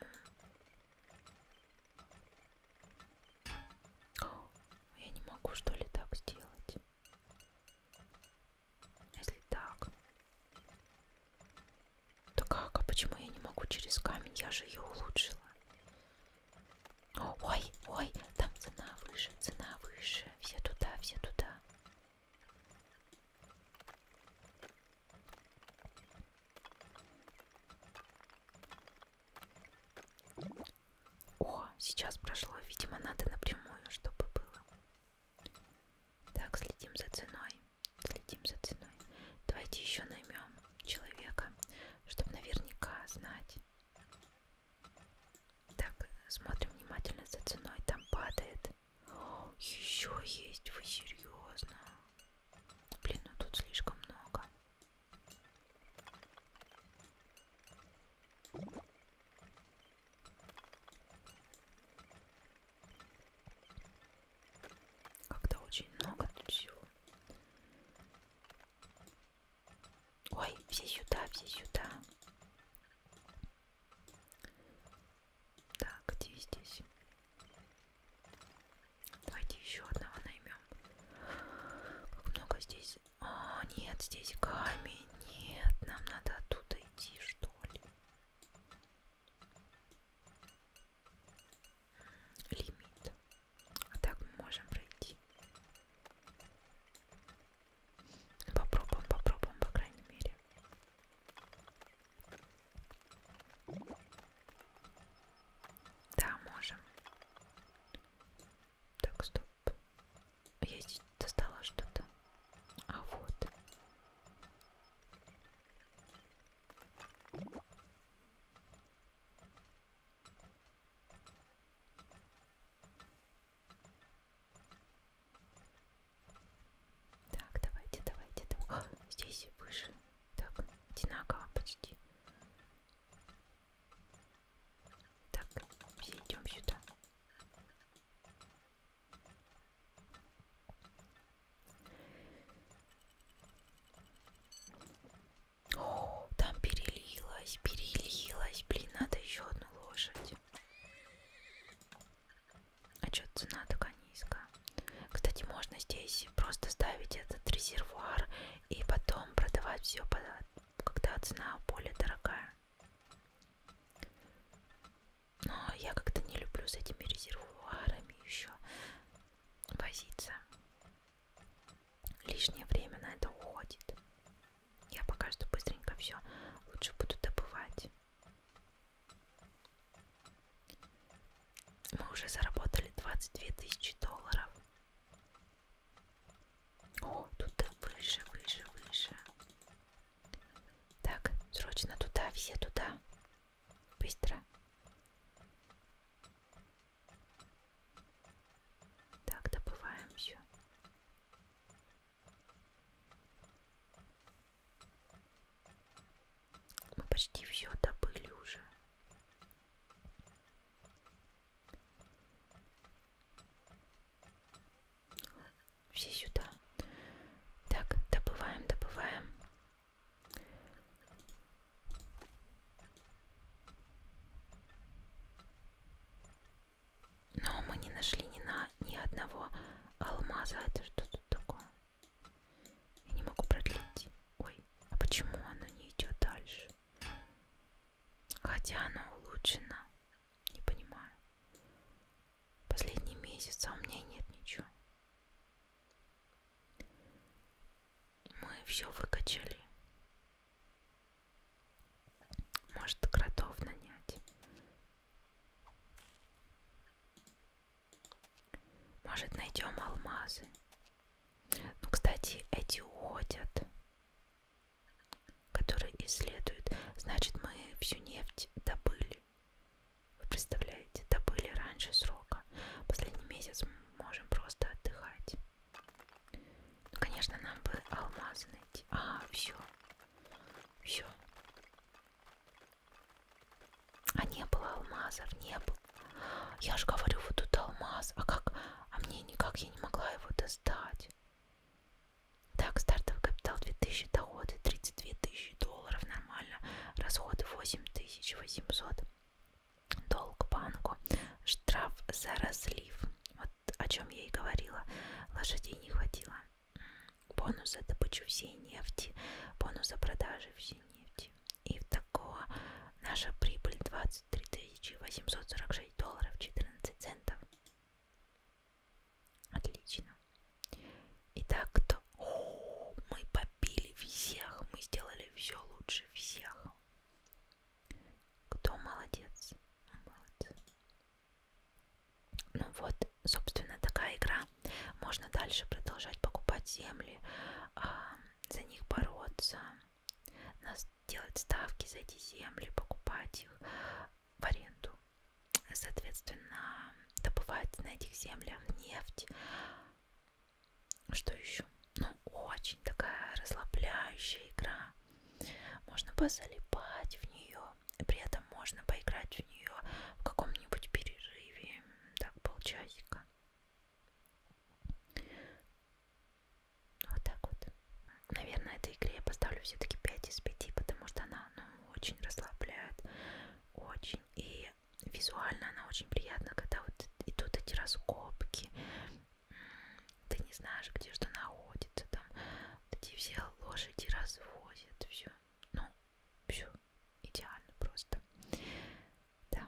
О, я не могу что ли так сделать? Если так. Да как? А почему я не могу через камень? Я же ее улучшила. Ой, ой, там цена выше, цена выше. Все туда, все туда. О, сейчас прошло. Видимо, надо напрямую, чтобы было. Так, следим за ценой. Следим за ценой. Давайте еще наймем человека, чтобы наверняка знать. Так, смотрим внимательно за ценой. Там падает. О, еще есть, вы серьезно? Блин, ну тут слишком много. Как-то очень много тут всего. Ой, все сюда, все сюда. Так, где здесь? Давайте еще одного наймем. Как много здесь? А, нет, здесь камень. Нет, нам надо оттуда идти, что ли? лимит. А так мы можем пройти. Попробуем, попробуем, по крайней мере. Да, можем. Так, стоп. Я здесь достала что-то. А вот. Так, давайте, давайте, давайте. О, здесь выше. Так, одинаково почти. Так, все идем сюда. О, там перелилась, перелилась. Блин, надо еще одну лошадь. А что цена такая низкая? Кстати, можно здесь просто ставить этот резервуар и потом продавать все, когда цена более дорогая но я как-то не люблю с этими резервуарами еще возиться. Лишнее время на это уходит. Я пока что быстренько все лучше буду добывать. Мы уже заработали 22 тысячи долларов. О, тут выше, выше, выше. Так, срочно туда, все туда. Быстро. Так, добываем все. Мы почти все добыли уже. Все сюда. Так, добываем, добываем. Но мы не нашли ни, на, ни одного алмаза. Это что тут такое? Я не могу продлить. Ой, а почему оно не идет дальше? Хотя оно улучшено. Не понимаю. Последний месяц, а у меня нет ничего. Мы все выкачали. Может, кротов нанять. Может, найдем алмазы. Ну, кстати, эти уходят, которые исследуют. Значит, мы всю нефть добыли. Вы представляете, добыли раньше срока. Последний месяц мы можем просто отдыхать. Ну, конечно, нам бы алмазы найти. А, все. Все. А не было алмазов, не было. Я же говорю, вот тут алмаз. А как? А мне никак я не могла его достать. Так, стартовый капитал 2000, доходы 32 тысячи долларов, нормально, расходы 8800, долг банку, штраф за разлив, вот о чем я и говорила, лошадей не хватило, бонус за добычу всей нефти, бонус за продажи всей нефти. И такого наша прибыль 23 846 долларов 14 центов. Отлично. Итак, кто? О, мы побили всех, мы сделали все лучше всех. Кто молодец? Молодец. Ну вот, собственно, такая игра. Можно дальше продолжать покупать земли, а, за них бороться, делать ставки за эти земли, покупать их, в аренду. Соответственно, добывать на этих землях нефть. Что еще? Ну, очень такая расслабляющая игра. Можно позалипать в нее. И при этом можно поиграть в нее в каком-нибудь перерыве. Так, полчасика. Вот так вот. Наверное, этой игре я поставлю все-таки 5 из 5, потому что она, ну, очень расслабляет, очень. И визуально она очень приятна, когда вот идут эти раскопки, ты не знаешь, где что находится, там вот эти все лошади развозят, все. Ну, все идеально просто. Да.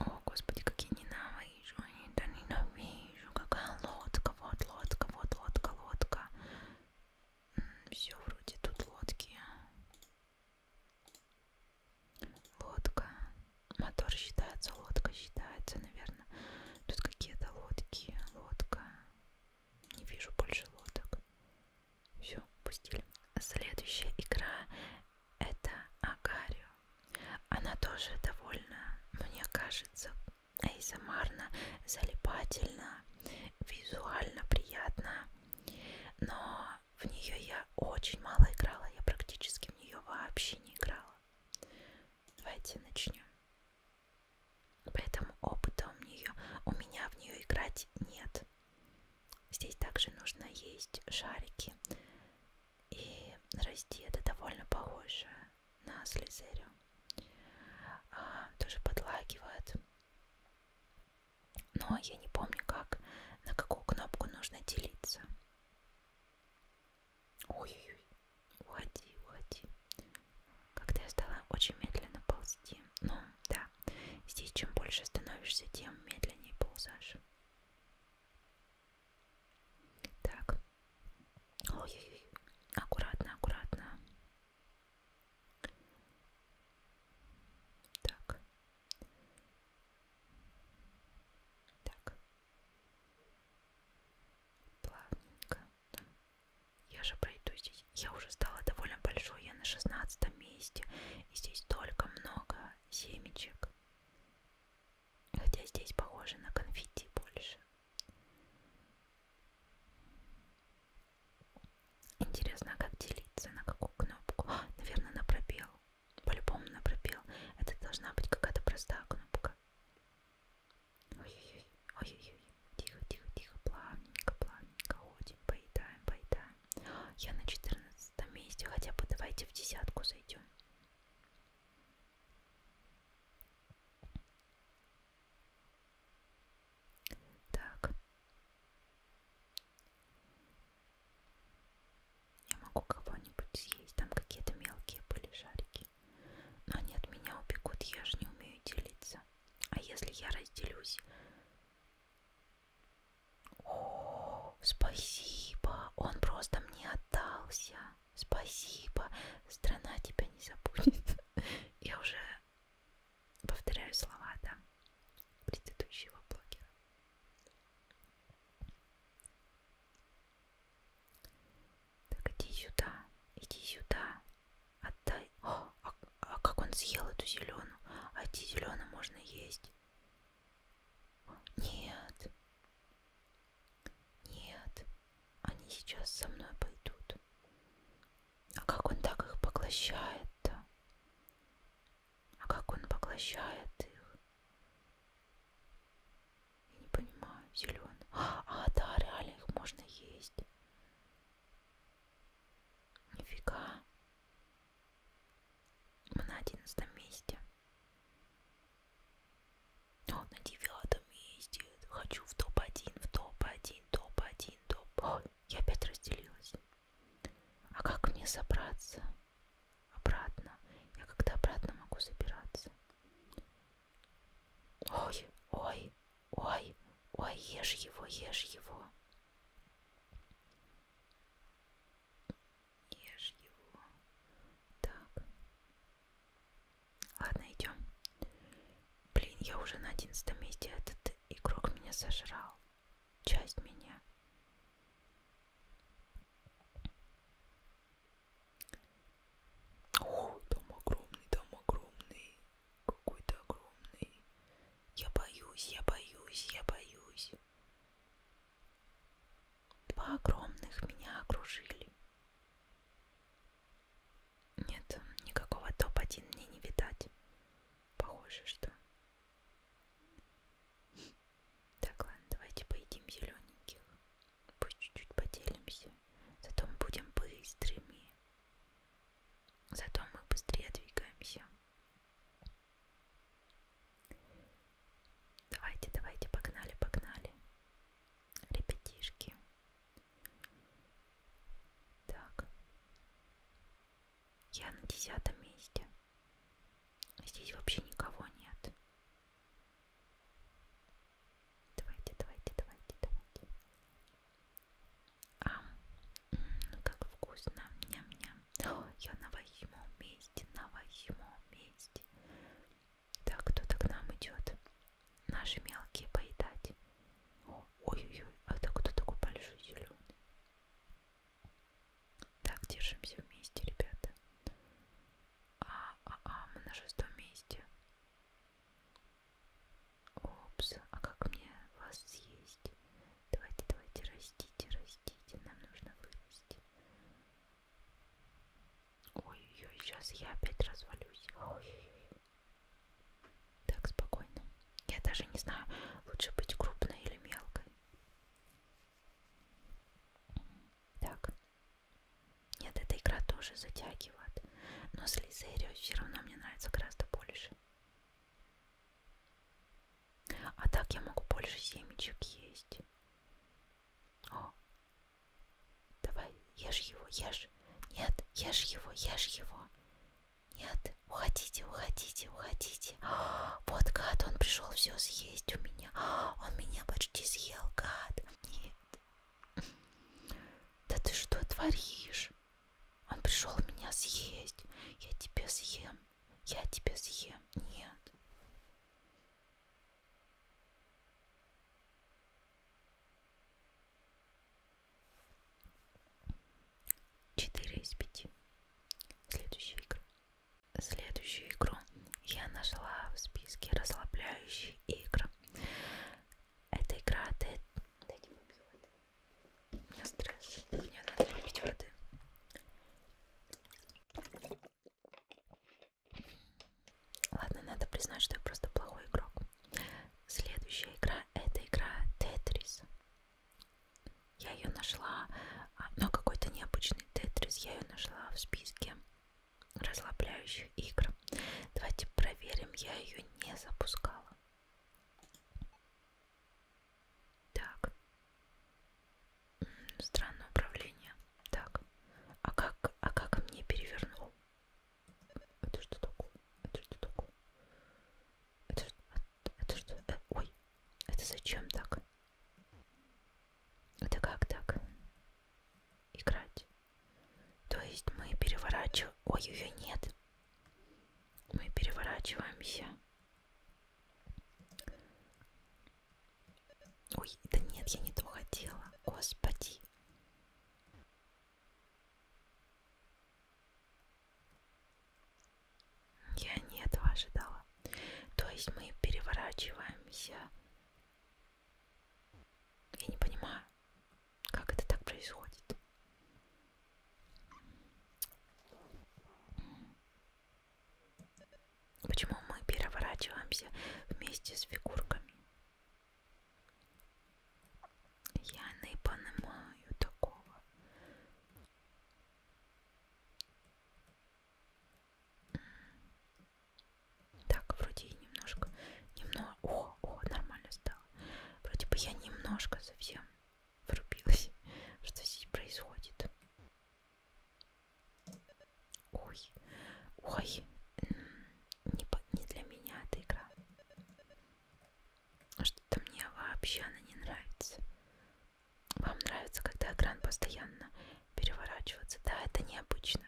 О, господи, как я ненавижу, я ненавижу, какая лодка, вот лодка, вот лодка, лодка. Все вроде тут лодки. Лодка. Мотор считается, лодка считается, наверное. Тут какие-то лодки. Лодка. Не вижу больше лодок. Все, пустили. Следующая игра это Агарио. Она тоже довольно, мне кажется, эйзомарно, залипательно приятно, визуально приятно, но в нее я очень мало играла, я практически в нее вообще не играла. Давайте начнем. Поэтому опыта у, нее, у меня в нее играть нет. Здесь также нужно есть шарики. И расти это довольно похоже на слезерю. А, тоже подлагивает. Но я не помню, как, на какую кнопку нужно делиться. Ой-ой-ой, уходи, уходи. Когда я стала очень медленно ползти. Ну, да, здесь чем больше становишься, тем медленнее ползаешь. Так. Ой-ой-ой, аккуратно, аккуратно. Так. Так. Плавненько. Да. Я же пройду здесь. Я уже стала довольно большой. Я на шестнадцатом месте. И здесь только много семечек. Хотя здесь похоже на конфетти больше. Интересно, а как делиться? На какую кнопку? А, наверное, на пробел. По-любому на пробел. Это должна быть какая-то простая кнопка. Ой-ой-ой, ой-ой-ой. Тихо-тихо-тихо, плавненько, плавненько ходим, поедаем, поедаем. Я на 14 месте, хотя бы давайте в десятку зайдем. Так. Я могу кого-нибудь съесть. Там какие-то мелкие были шарики. Но они от меня убегут, я же не умею делиться. А если я разделюсь? О, спасибо. Он просто мне отдался. Спасибо. Страна тебя не забудет. Я уже Повторяю слова, да, предыдущего блогера. Так, иди сюда, иди сюда, отдай. О, а, а как он съел эту зеленую? А эти зеленые можно есть? Нет. Нет, они сейчас со мной пойдут. А как он так их поглощает-то? А как он поглощает их? Я не понимаю, зеленый. А, да, реально их можно есть. Нифига. Мы на одиннадцатом месте. О, на девятом месте. Хочу в топ-1, в топ-1, топ-1, топ-1. Я опять разделилась. А как мне собраться обратно? Я когда обратно могу собираться? Ой, ой, ой, ой, ешь его, ешь его. Ешь его. Так. Ладно, идем. Блин, я уже на одиннадцатом месте. Этот игрок меня сожрал. Часть меня. О, там огромный, там огромный. Какой-то огромный. Я боюсь, я боюсь, я боюсь. Два огромных меня окружили. Нет, никакого топ-1 мне не видать. Похоже, что. Так, ладно, давайте поедим зелененьких. Пусть чуть-чуть поделимся. Зато мы будем быстрыми. Зато мы быстрее двигаемся. Давайте, давайте, погнали, погнали. Ребятишки. Так. Я на десятом месте. Здесь вообще никого нет. Давайте, давайте, давайте, давайте. А, как вкусно. Ням-ням. Я на восьмом месте, на восьмом месте. Так, кто-то к нам идет. Наши мелкие поедать. О, Ой-ой-ой, а это кто такой большой зеленый? Так, держимся вместе, ребята. А, а, а, мы на шестом месте. Опс, а как мне вас съесть? Давайте, давайте, растите, растите, нам нужно вырасти. Ой-ой-ой, сейчас я опять развалюсь. Ой-ой-ой. Так, спокойно. Я даже не знаю, лучше быть крупной или мелкой. Так. Нет, эта игра тоже затягивает. Но с Лизерио все равно мне нравится гораздо больше. А так я могу больше семечек есть. О, давай, ешь его, ешь. Нет, ешь его, ешь его. Нет, уходите, уходите, уходите. Вот гад, он пришел все съесть у меня. Он меня почти съел, гад. Нет. Да ты что творишь? Он пришел меня съесть. Я тебя съем. Я тебя съем. Нет. 4 из 5. Следующая игра. Следующую игру я нашла в списке расслабляющих игр. Эта игра Dead... Дайте попью воды. У меня стресс. Мне надо попить воды. Ладно, надо признать, что я просто плохой игрок. Следующая игра это игра Тетрис. Я ее нашла, а, но какой-то необычный тетрис, я ее нашла в списке расслабляющих игр. Давайте проверим, я ее не запускала. Так. Странное управление. Так. А как, а как мне перевернул? Это что такое? Это что такое? Это, это, это что? Э, ой, это зачем так? Это как так? Играть. То есть мы переворачиваем... Ой, ее нет. Мы переворачиваемся. Ой, да нет, я не то хотела. Господи. Я не этого ожидала. То есть мы переворачиваемся. Я не понимаю, как это так происходит. Почему мы переворачиваемся вместе с фигурками? Я не понимаю такого. Так, вроде и немножко, немного, о, о, нормально стало. Вроде бы я немножко совсем врубилась, что здесь происходит. Ой, ой, не, не для меня эта игра. Что-то мне вообще она не нравится. Вам нравится, когда экран постоянно переворачивается? Да, это необычно.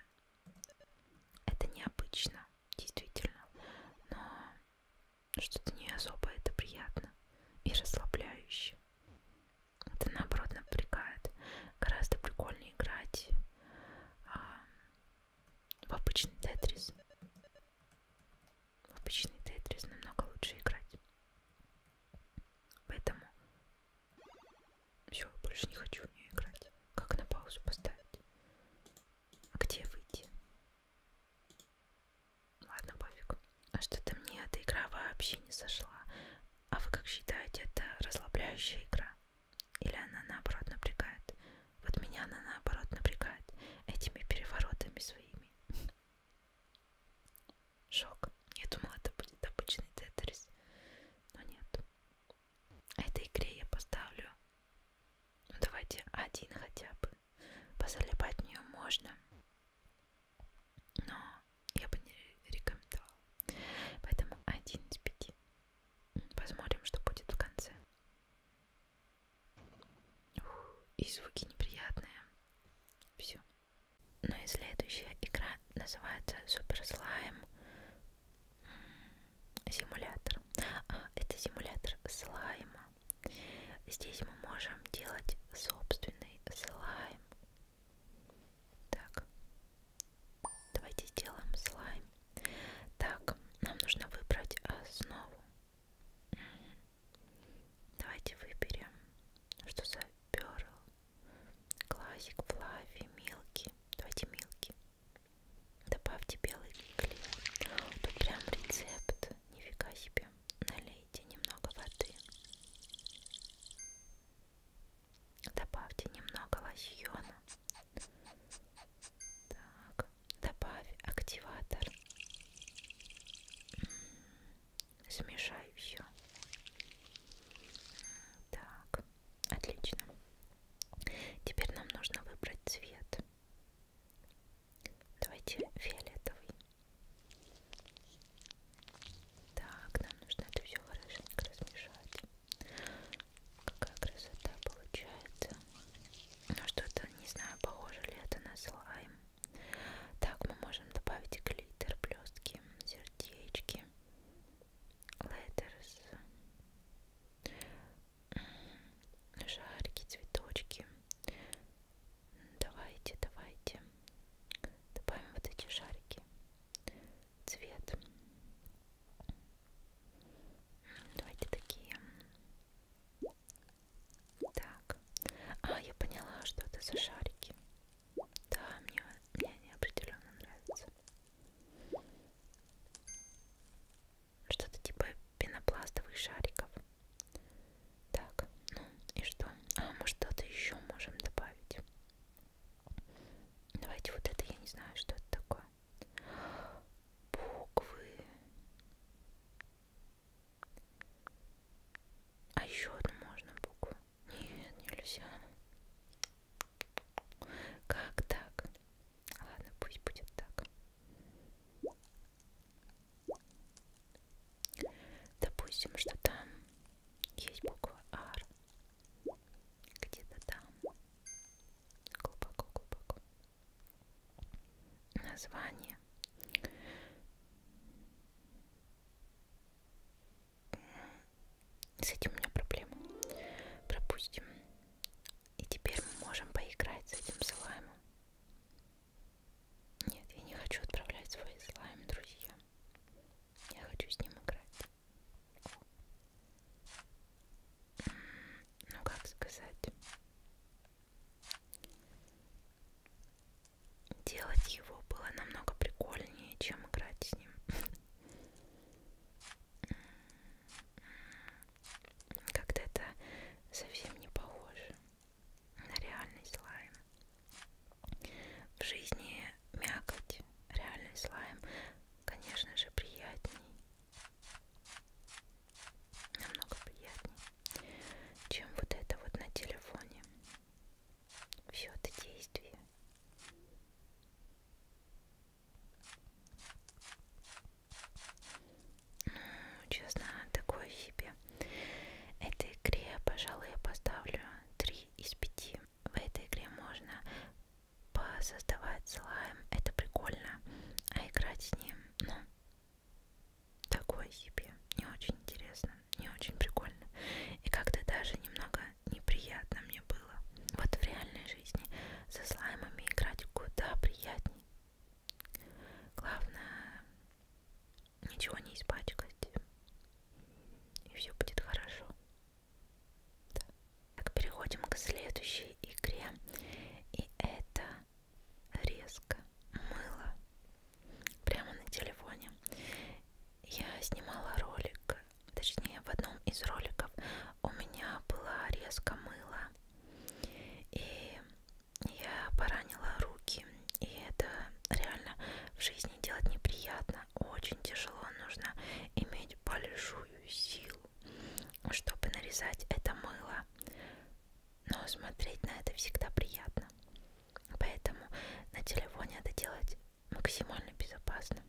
Это необычно, действительно. Но что-то не особо это приятно и расслабляюще. Это наоборот напрягает. Гораздо прикольнее играть а, в обычный тетрис. В обычный Тетрис намного лучше играть. Поэтому все, больше не хочу в нее играть. Как на паузу поставить? А где выйти? Ладно, пофиг. А что-то мне эта игра вообще не сошла. А вы как считаете, это расслабляющая игра? Или она наоборот напрягает? Вот меня она наоборот напрягает этими переворотами своими глазами. Шок. Я думала, это будет обычный тетрис, но нет. А этой игре я поставлю, ну давайте один хотя бы. Позалипать в нее можно, но я бы не рекомендовала. Поэтому один из пяти. Посмотрим, что будет в конце. И звуки неприятные. Все. Ну и следующая игра называется Супер Слайм Симулятор. А, это симулятор слайма. Здесь мы можем делать собственный слайм. Так, давайте сделаем слайм. Так, нам нужно выбрать основу. Давайте выберем, что за перл. Классик, флафи, мелкий. Давайте мелкий. Добавьте белый клей. Тут прям рецепт. Нифига себе. Налейте немного воды. Добавьте немного лосьона. Так добавь активатор. Смешай все. Так, отлично. Теперь нам нужно выбрать цвет. Давайте фиолетовый. Так, нам нужно это все хорошенько размешать. Какая красота получается. Ну что-то, не знаю, похоже ли это на слайм. Так мы можем добавить глиттер, блестки, сердечки, леттерс, шарики, цветочки. Давайте, давайте. Добавим вот эти шарики. Цвет. Давайте такие так. А, я поняла, что это за шарики. Да, мне, мне они определенно нравятся. Что-то типа пенопластовых шариков. Так, ну и что? А, мы что-то еще можем добавить. Давайте вот это, я не знаю, что это такое. Буквы. А еще одну можно букву? Нет, нельзя. Как так? Ладно, пусть будет так. Допустим, что там есть буква R. Где-то там. Глубоко-глубоко название с этим у меня проблема пропустим и теперь мы можем поиграть с этим слаймом нет я не хочу отправлять свой слайм друзья я хочу с ним играть ну как сказать делать его было намного прикольнее, чем играть с ним. М-м-м. Как-то это совсем не похоже на реальный слайм. В жизни мякоть, реальный слайм, конечно же, приятней намного приятнее, чем вот это вот на телефоне. Все это действие. Ну, честно, такое себе. Этой игре, пожалуй, я поставлю 3 из 5. В этой игре можно посоздавать слайм. Это прикольно. А играть с ним, ну, такое себе, не очень интересно, не очень прикольно. И как-то даже немного неприятно мне было. Вот в реальной жизни со слаймами играть куда приятней. Главное, ничего не испачкать. И все будет хорошо. Да. Так, переходим к следующей игре. И это резко мыла прямо на телефоне. Я снимала ролик, точнее в одном из роликов у меня была резко мыла, и я поранила руки, и это реально в жизни делать неприятно, очень тяжело, нужно иметь большую силу, чтобы нарезать это мыло но смотреть на это всегда приятно. Поэтому на телефоне это делать максимально безопасно.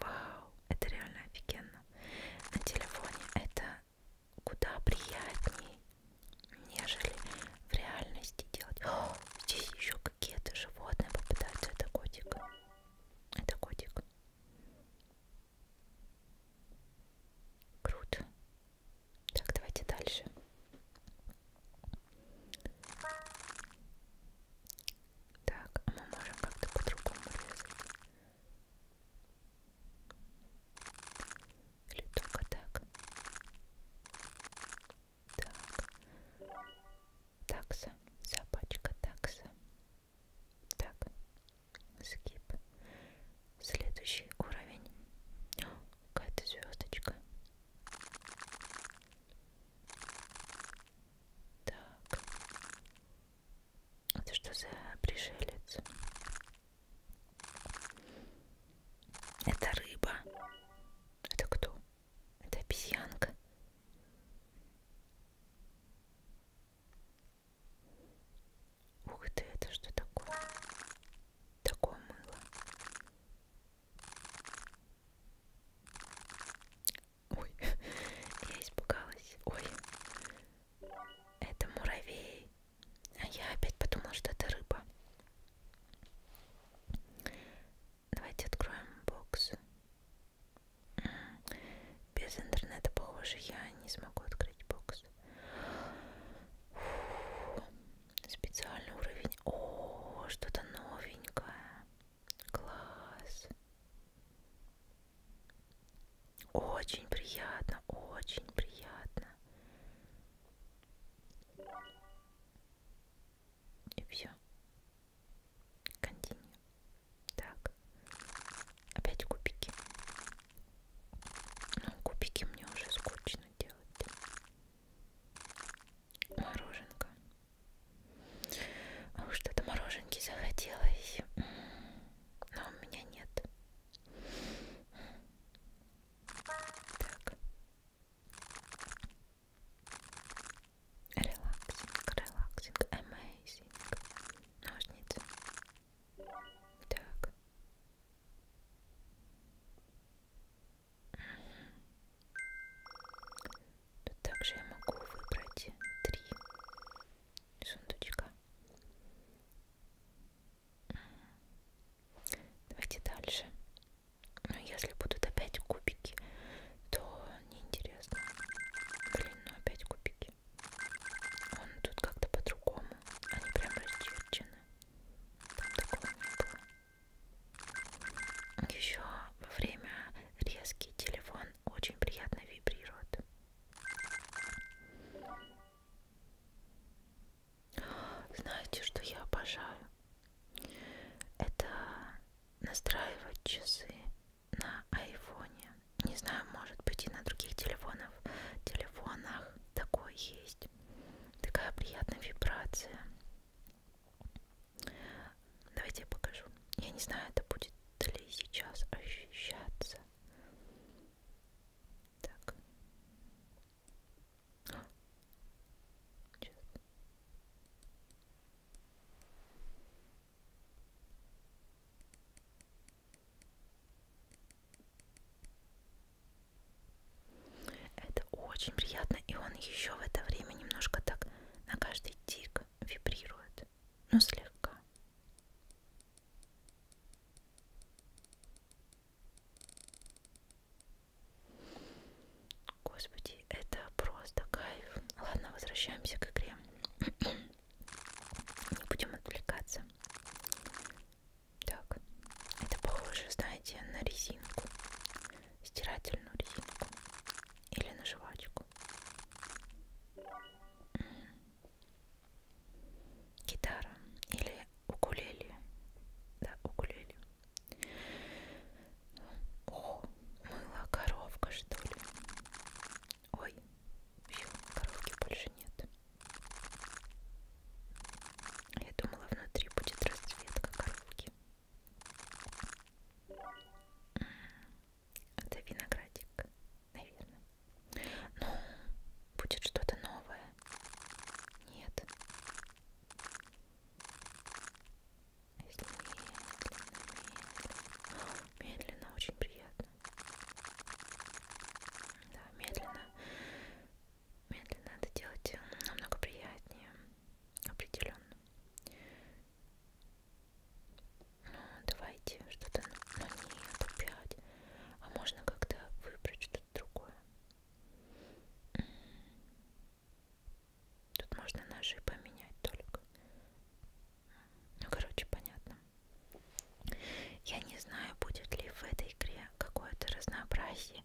Вау, это реально офигенно. На телефоне это куда приятнее, нежели в реальности делать. О, здесь еще какие-то животные попадаются. Это котик. Это котик. Круто. Так, давайте дальше. Так, а мы можем как-то по-другому резать. Или только так. Так. Такса. Собачка такса. Так, скип. Следующий уровень. Какая-то звездочка. Так. Это что за пришелец? Это рыба. Это кто? Это обезьянка. Ух ты, это что такое? Такое мыло. Ой, я испугалась. Ой, это муравей. А я опять подумала, что это рыба. Давайте откроем бокс. Без интернета, похоже, я не смогу открыть бокс. Фу. Специальный уровень. О, что-то новенькое. Класс. Очень приятно, очень приятно. И все. Континью. Так. Опять кубики. Ну, кубики мне уже скучно делать. Мороженка. А уж что-то мороженки захотелось. Но у меня нет. Так. Релаксинг, релаксинг, amazing. Ножницы. Так. Тут также я могу выбрать три сундучка. Давайте дальше. Но ну, если будут опять кубики, то неинтересно. Блин, ну опять кубики книжки. Он тут как-то по-другому. Они прям расчерчены. Там такого не было. Еще во время резки телефон очень приятно вибрирует. Знаете, что я обожаю? Это настраивать часы на айфоне не знаю, может быть и на других телефонах, телефонах такое есть. Такая приятная вибрация. Давайте я покажу. Я не знаю, это будет ли сейчас ощущаться. Так. Сейчас. Это очень приятно, и он еще в это время немножко так на каждый тик вибрирует, но ну, слегка. Господи, это просто кайф. Ладно, возвращаемся к игре. Не будем отвлекаться. Так, это похоже, знаете, на резинку, стирательную резинку или на жвачку. Гитара или укулеле. Да, укулеле. О, мыла коровка, что ли? Ой, все, коровки больше нет. Я думала, внутри будет расцветка коровки. Это виноградик, наверное. Ну, будет что-то новое. Нет. Если медленно, медленно. Медленно, очень приятно. Да, медленно. Медленно это делать э, намного приятнее. Определенно. Ну, давайте что-то... Ну нет, опять. А можно как-то выбрать что-то другое? Тут можно ножи поменять только. Ну, короче, понятно. Я не знаю, будет ли в этой игре какое-то разнообразие,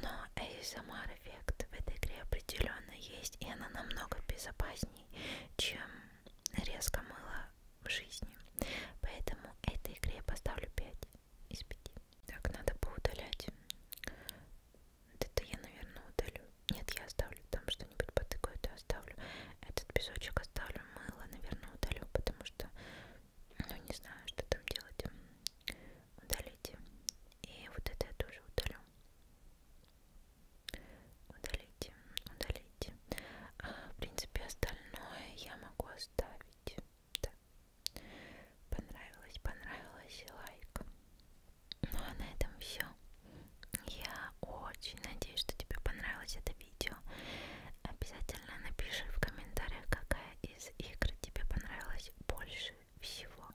но ASMR эффект в этой игре определенно есть, и она намного безопасней, чем резко мыло в жизни. Поэтому этой игре я поставлю 5 из 5. Так, надо поудалять. Это я, наверное, удалю. Нет, я оставлю там что-нибудь потыкаю, это оставлю. Этот песочек оставлю мыло, наверное, удалю, потому что, ну, не знаю, что там делать. Удалите. И вот это я тоже удалю. Удалите, удалите. А, в принципе, остальное я могу оставить. Да. Понравилось, понравилось, лайк. Ну а на этом все. Я очень надеюсь, что тебе понравилось это видео. Обязательно напиши в комментариях, какая из игр тебе понравилась больше всего.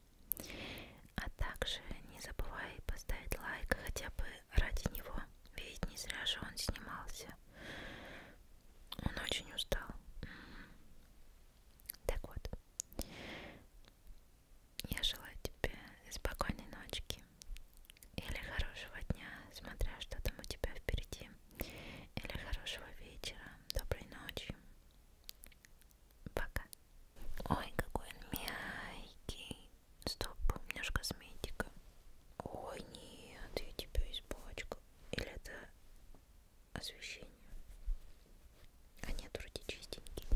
А также не забывай поставить лайк хотя бы ради него, ведь не зря же он снимался. Он очень устал. Так вот, я желаю тебе спокойной ночки или хорошего дня, смотря что там у тебя впереди. Или хорошего вечера, доброй ночи. Пока. Ой, какой он мягкий. Стоп, у меня же косметика. Ой, нет, я тебя испачкал. Или это освещение? А нет, вроде чистенький.